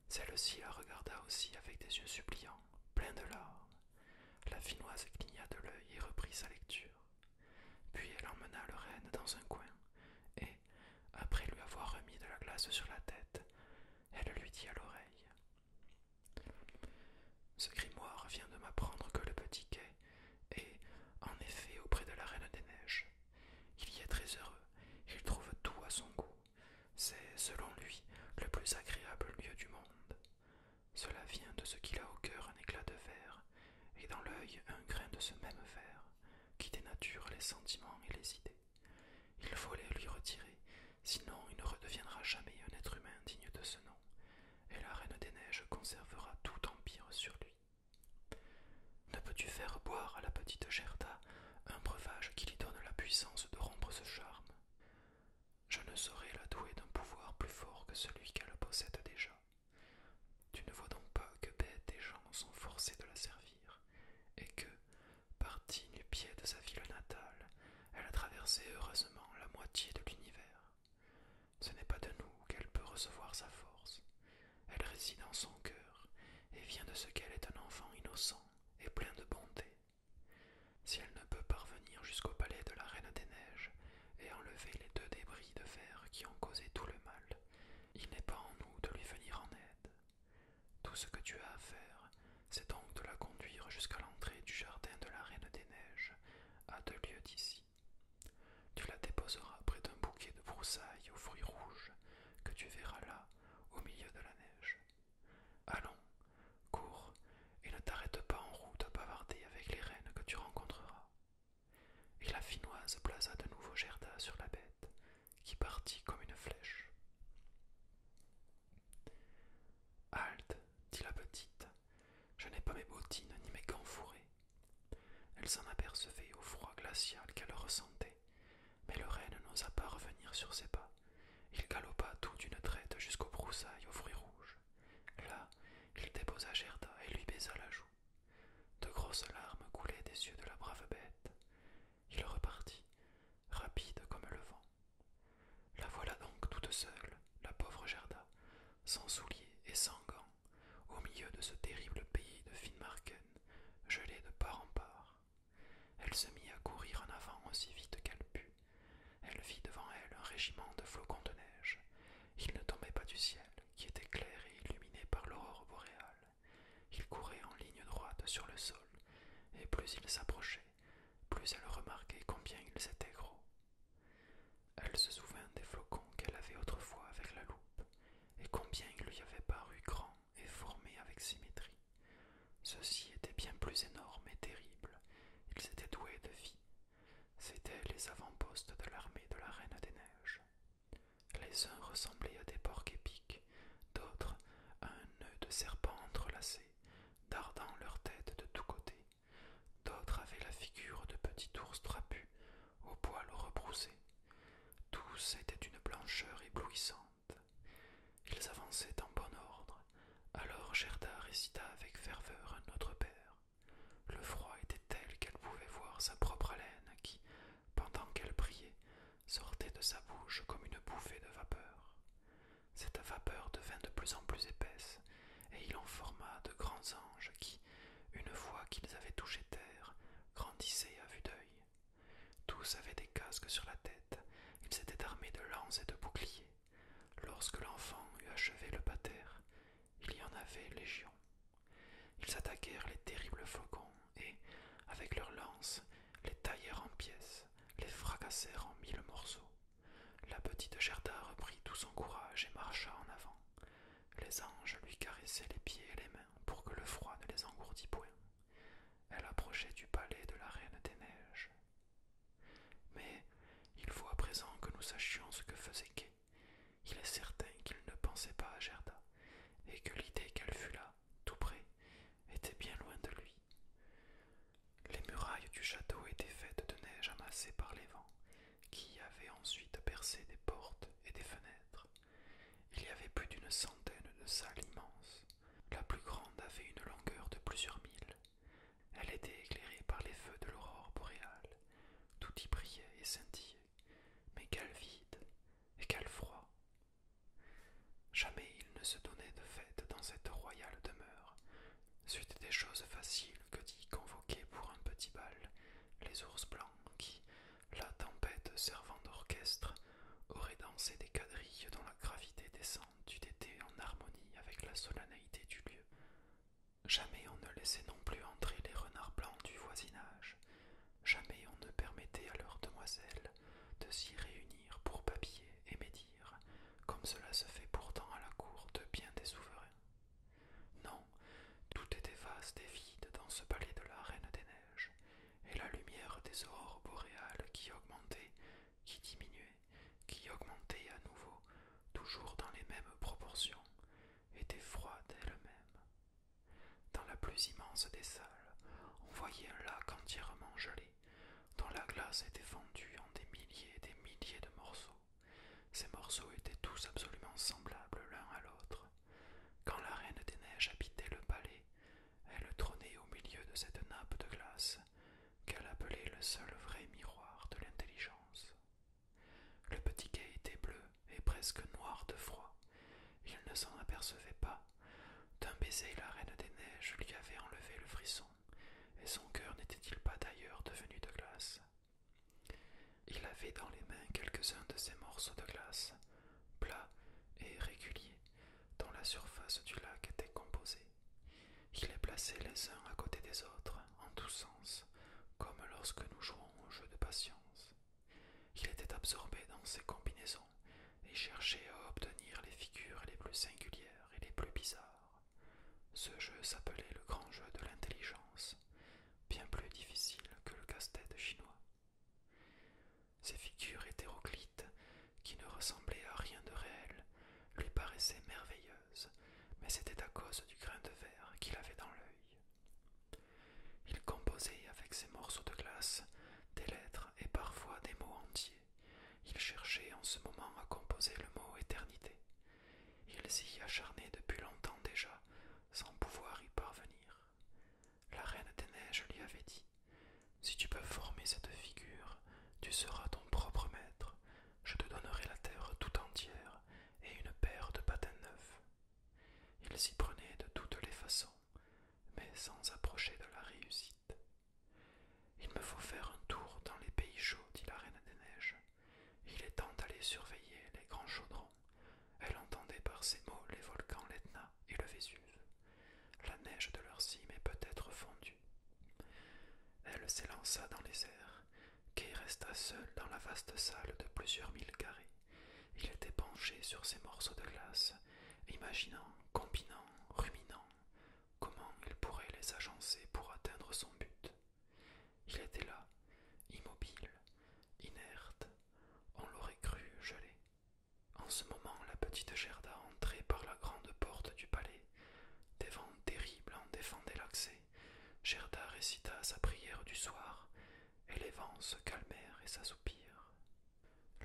Celle-ci la regarda aussi avec des yeux suppliants, pleins de larmes. La finoise cligna de l'œil et reprit sa lecture. Puis elle emmena le reine dans un coin, et, après lui avoir remis de la glace sur la tête, elle lui dit à l'oreille ce grimoire vient de m'apprendre que le petit quai est, en effet, auprès de la Reine des Neiges. Il y est très heureux, il trouve tout à son goût. C'est, selon lui, le plus agréable lieu du monde. Cela vient de ce qu'il a au cœur un éclat de verre, et dans l'œil un grain de ce même verre, qui dénature les sentiments et les idées. Il faut les lui retirer Sinon, il ne redeviendra jamais un être humain digne de ce nom, et la Reine des Neiges conservera tout empire sur lui. Ne peux-tu faire boire à la petite Gerda un breuvage qui lui donne la puissance de rompre ce charme Je ne saurais la douer d'un pouvoir plus fort que celui qu'elle possède déjà. Tu ne vois donc pas que bêtes et gens sont forcés de la servir, et que, Partie du pied de sa ville natale, elle a traversé heureusement la moitié de l'univers. Ce n'est pas de nous qu'elle peut recevoir sa force. Elle réside en son cœur et vient de ce qu'elle est un enfant innocent et plein de bonté. Si elle ne peut parvenir jusqu'au palais de la Reine des Neiges et enlever les deux débris de fer qui ont causé tout le mal, il n'est pas en nous de lui venir en aide. Tout ce que tu as à faire, c'est donc de la conduire jusqu'à l'entrée du jardin de la Reine des Neiges, à deux lieues d'ici. Tu la déposeras près d'un bouquet de broussailles aux fruits rouges que tu verras là, au milieu de la neige. Allons, cours, et ne t'arrête pas en route bavardée bavarder avec les reines que tu rencontreras. Et la Finoise plaça de nouveau Gerda sur la bête, qui partit comme une flèche. Halte, dit la petite, je n'ai pas mes bottines ni mes gants fourrés. Elle s'en apercevait au froid glacial qu'elle ressentait, mais le renne n'osa pas revenir sur ses pas. Il galopa tout d'une traite jusqu'aux broussailles aux fruits rouges. Là, il déposa Gerda et lui baisa la joue. De grosses larmes coulaient des yeux de la brave bête. Il repartit, rapide comme le vent. La voilà donc toute seule, la pauvre Gerda, sans souliers et sans gants, au milieu de ce terrible pays de Finmarken, gelé de part en part. Elle se mit à courir en avant aussi vite qu'elle put. Elle vit devant elle un régiment de flocons de neige. Ils ne tombaient pas du ciel, qui était clair et illuminé par l'aurore boréale. Ils couraient en ligne droite sur le sol, et plus ils s'approchaient, plus elle remarquait combien ils étaient gros. Elle se souvint des flocons qu'elle avait autrefois avec la loupe, et combien ils lui avaient paru grands et formés avec symétrie. Ceux-ci étaient bien plus énormes et terribles, ils étaient doués de vie. C'étaient les avant-postes de l'armée de la Reine des Neiges. Les uns ressemblaient à des porcs épiques, d'autres à un nœud de serpent entrelacé, dardant leur tête de tous côtés. D'autres avaient la figure de petits ours trapus, aux poils rebroussés. Tous étaient d'une blancheur éblouissante. Ils avançaient en bon ordre, alors Gerda récita avec ferveur un Notre Père. Le froid était tel qu'elle pouvait voir sa propre haleine qui, pendant qu'elle priait, sortait de sa bouche comme une bouffée de vapeur cette vapeur devint de plus en plus épaisse, et il en forma de grands anges qui, une fois qu'ils avaient touché terre, grandissaient à vue d'œil. Tous avaient des casques sur la tête, ils s'étaient armés de lances et de boucliers. Lorsque l'enfant eut achevé le patère, il y en avait légion. Ils attaquèrent les terribles faucons et, avec leurs lances, les taillèrent en pièces, les fracassèrent en mille morceaux. La petite Gerda reprit tout son courage et marcha en avant. Les anges lui caressaient les pieds et les mains pour que le froid ne les engourdît point. Elle approchait du palais de la Reine des Neiges. Mais il faut à présent que nous sachions ce que faisait Kay. Il est certain qu'il ne pensait pas à Gerda, et que l'idée qu'elle fût là, tout près, était bien loin de lui. Les murailles du château étaient faites de neige amassée par les vents, qui avaient ensuite percé des portes et des fenêtres. Il y avait plus d'une centaine de salles immenses. La plus grande avait une longueur de plusieurs milles. Elle était éclairée par les feux de l'aurore boréale. Tout y brillait et scintillait. Mais quel vide et quel froid. Jamais il ne se donnait de fête dans cette royale demeure, Suite des choses faciles que d'y convoquer pour un petit bal les ours blancs qui, la tempête servant d'orchestre, auraient dansé des quadrilles dont la gravité descendue du été en harmonie avec la solennité du lieu. Jamais on ne laissait non plus entrer les renards blancs du voisinage, jamais on ne permettait à leurs demoiselles de s'y réunir pour papier et méditer comme cela se fait pourtant à la cour de bien des souverains. Non, tout était vaste et vide dans ce palais de la Reine des Neiges, et la lumière des aurores boréales qui augmentait, qui diminuait, qui augmentait à nouveau, toujours dans les mêmes proportions, était froide elle-même. Dans la plus immense des salles, on voyait un lac entièrement gelé, dont la glace était fendue en des milliers et des milliers de morceaux. Ces morceaux étaient tous absolument semblables l'un à l'autre. Quand la reine des neiges habitait le palais, elle trônait au milieu de cette nappe de glace qu'elle appelait le seul vrai miroir de l'intelligence. Le petit quai était bleu et presque noir de froid. Il ne s'en apercevait pas. D'un baiser, la reine des neiges lui avait enlevé le frisson et son cœur n'était-il pas d'ailleurs devenu de glace Il avait dans les mains quelques-uns de ces morceaux de glace, plats et réguliers, dont la surface du lac était composée. Il les plaçait les uns à côté des autres, en tous sens, comme lorsque nous jouons au jeu de patience. Il était absorbé dans ces combinaisons et cherchait à obtenir les figures les plus singulières et les plus bizarres. Ce jeu s'appelait le grand jeu de l'intelligence, bien plus difficile que le casse-tête chinois. Ces figures hétéroclites, qui ne ressemblaient à rien de réel, lui paraissaient merveilleuses, mais c'était à cause du grain de verre qu'il avait dans l'œil. Il composait avec ses morceaux de glace des lettres et parfois des mots entiers il cherchait en ce moment à composer le mot éternité. Il s'y acharnait depuis longtemps déjà, sans pouvoir y parvenir. La reine des neiges lui avait dit Si tu peux former cette figure, tu seras ton propre maître. Je te donnerai la terre tout entière et une paire de patins neufs. Il s'y prenait de toutes les façons, mais sans approcher de la réussite. Il me faut faire un tour dans les pays chauds, dit la Reine des Neiges. Il est temps d'aller surveiller les grands chaudrons. Elle entendait par ces mots les volcans l'Etna et le Vésuve. La neige de leur cime est peut-être fondue. Elle s'élança dans les airs. Kay resta seul dans la vaste salle de plusieurs mille carrés. Il était penché sur ses morceaux de glace, imaginant, combinant, ruminant, Comment il pourrait les agencer pour atteindre son but Il était là, immobile, inerte, on l'aurait cru gelé. En ce moment, la petite Gerda entrait par la grande porte du palais. Des vents terribles en défendaient l'accès. Gerda récita sa prière du soir, et les vents se calmèrent et s'assoupirent.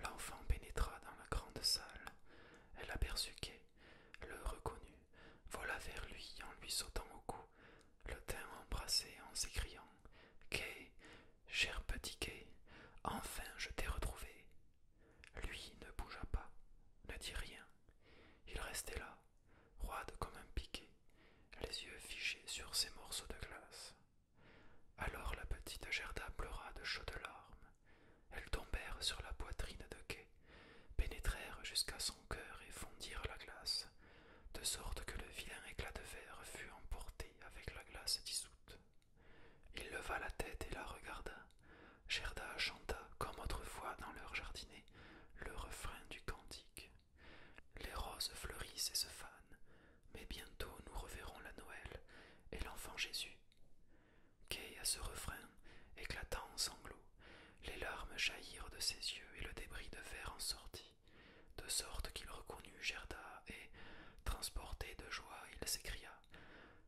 L'enfant pénétra dans la grande salle. Elle aperçut Kay, le reconnut, vola vers lui en lui sautant au cou, le teint embrassé en s'écriant Kay, cher petit Kay, enfin je t'ai retrouvé. Lui ne bougea pas, ne dit rien. Il restait là, roide comme un piquet, les yeux fichés sur ses morceaux de glace. Alors la petite Gerda pleura de chaudes larmes. Elles tombèrent sur la poitrine de quai pénétrèrent jusqu'à son cœur et fondirent la glace, de sorte que le vilain éclat de verre fut emporté avec la glace dissoute. Il leva la tête et la regarda. Gerda chanta, comme autrefois dans leur jardinet, le refrain du cantique. Les roses fleurissent et se fanent, mais bientôt nous reverrons la Noël et l'enfant Jésus à ce refrain, éclatant en sanglots. Les larmes jaillirent de ses yeux et le débris de fer en sortit, de sorte qu'il reconnut Gerda et, transporté de joie, il s'écria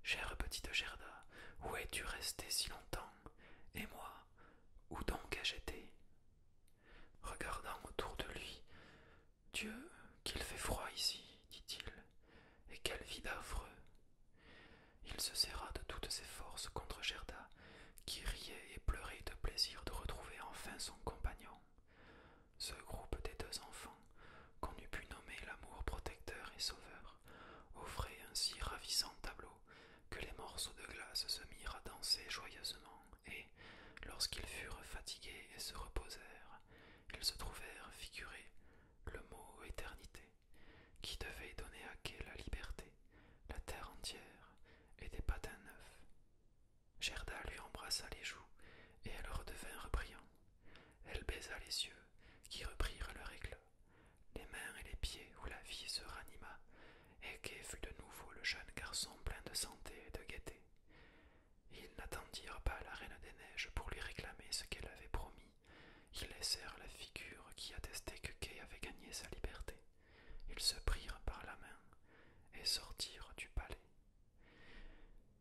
Chère petite Gerda, où es-tu restée si longtemps Et moi, où donc ai-je été Regardant autour de lui, Dieu, qu'il fait froid ici, dit-il, et quelle vie affreux il se serra de toutes ses forces contre Gerda, qui riait et pleurait de plaisir de retrouver enfin son compagnon. Ce groupe des deux enfants, qu'on eût pu nommer l'amour protecteur et sauveur, offrait un si ravissant tableau que les morceaux de glace se mirent à danser joyeusement, et, lorsqu'ils furent fatigués et se reposèrent, ils se trouvèrent figurés le mot éternité qui devait donner à Ké la liberté, la terre entière et des patins neufs. Gerda lui embrassa les joues et elle redevinrent brillantes. Elle baisa les yeux qui reprirent leur éclat, les mains et les pieds où la vie se ranima, et Ké fut de nouveau le jeune garçon plein de santé et de gaieté. Ils n'attendirent pas la reine des neiges pour lui réclamer ce qu'elle avait promis ils laissèrent la figure qui attestait que Kay avait gagné sa liberté. Ils se prirent par la main et sortirent du palais.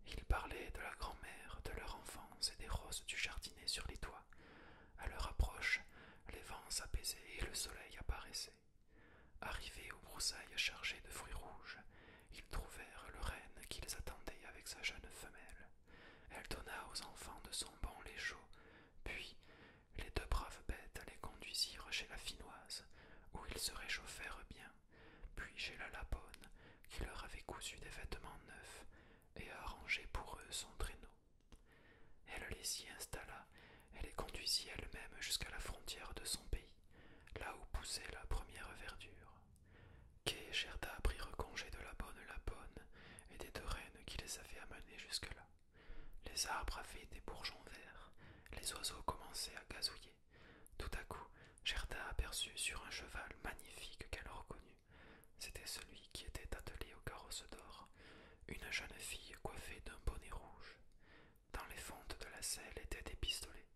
Ils parlaient de la grand-mère, de leur enfance et des roses du jardinet sur les toits. À leur approche, les vents s'apaisaient et le soleil apparaissait. Arrivés aux broussailles chargées de fruits rouges, ils trouvèrent le renne qu'ils attendaient avec sa jeune femelle. Elle donna aux enfants de son banc les puis les deux braves bêtes les conduisirent chez la Finoise, où ils se réchauffèrent bien, puis chez la Lapone, qui leur avait cousu des vêtements neufs et arrangé pour eux son traîneau. Elle les y installa elle les conduisit elle-même jusqu'à la frontière de son pays, là où poussait la première verdure. Kay et prirent congé de la bonne Lapone et des deux reines qui les avaient amenés jusque-là. Les arbres avaient des bourgeons verts, les oiseaux commençaient à gazouiller. Tout à coup, Gerda aperçut sur un cheval magnifique qu'elle reconnut. C'était celui qui était attelé au carrosse d'or, une jeune fille coiffée d'un bonnet rouge. Dans les fentes de la selle étaient des pistolets.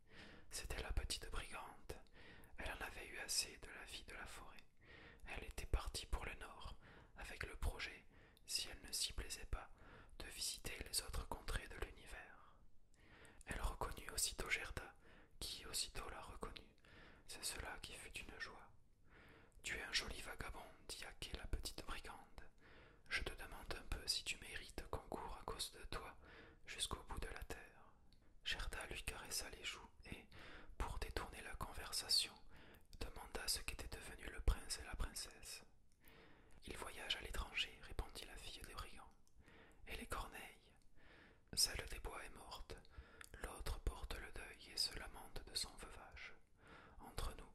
C'était la petite brigante. Elle en avait eu assez de la vie de la forêt. Elle était partie pour le nord, avec le projet, si elle ne s'y plaisait pas, de visiter les autres contrées de l'univers. Elle reconnut aussitôt Gerda, qui aussitôt la reconnut. C'est cela qui fut une joie. Tu es un joli vagabond, dit Ake, la petite brigande. Je te demande un peu si tu mérites qu'on court à cause de toi jusqu'au bout de la terre. Gerda lui caressa les joues et, pour détourner la conversation, demanda ce qu'étaient devenus le prince et la princesse. Il voyage à l'étranger, répondit la fille des brigands. Et les corneilles Celle des bois est morte, l'autre porte le deuil et se lamente de son veuvage. Entre nous,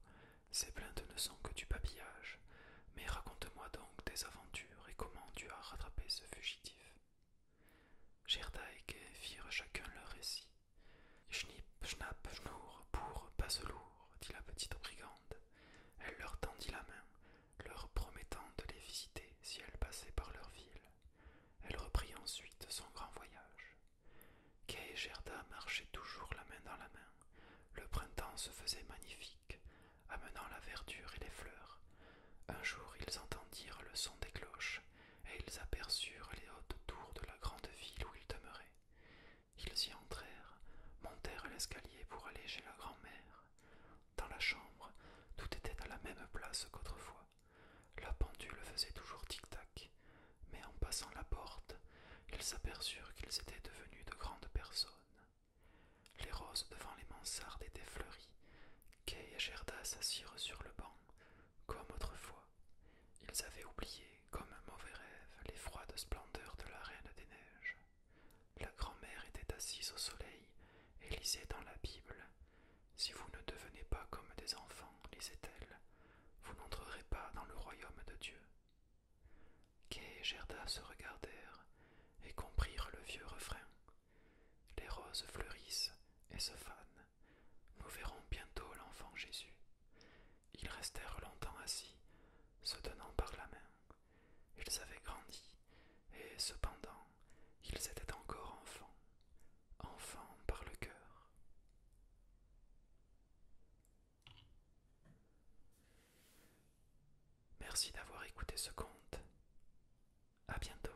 ces plaintes ne sont que du papillage, mais raconte-moi donc tes aventures et comment tu as rattrapé ce fugitif. Gerda et Gay firent chacun leur récit schnipp schnapp, schnour, pour, passe lourd, dit la petite brigande. Elle leur tendit la main, leur promettant de les visiter si elle passait par leur ville. Elle reprit ensuite son grand voyage. Kay et Gerda marchaient toujours la main dans la main. Le printemps se faisait magnifique, amenant la verdure et les fleurs. Un jour ils entendirent le son des cloches et ils aperçurent les hautes tours de la grande ville où ils demeuraient. Ils y entrèrent, montèrent l'escalier pour aller chez la grand Dans la chambre, tout était à la même place qu'autrefois. La pendule faisait toujours tic-tac, mais en passant la porte, ils s'aperçurent qu'ils étaient devenus de grandes personnes. Les roses devant les mansardes étaient fleuries. Kay et Gerda s'assirent sur le banc, comme autrefois, ils avaient oublié, comme un mauvais rêve, les froides splendeurs de la Reine des Neiges. La grand-mère était assise au soleil et lisait dans la Bible. Si vous ne devenez pas comme des enfants, lisait-elle, vous n'entrerez pas dans le royaume de Dieu. Kay et Gerda se regardèrent et comprirent le vieux refrain. Les roses fleurissent et se fanent, nous verrons bientôt l'enfant Jésus. Ils restèrent longtemps assis, se tenant par la main. Ils avaient grandi, et cependant ils étaient encore enfants, enfants par le cœur. Merci d'avoir écouté ce conte. À bientôt.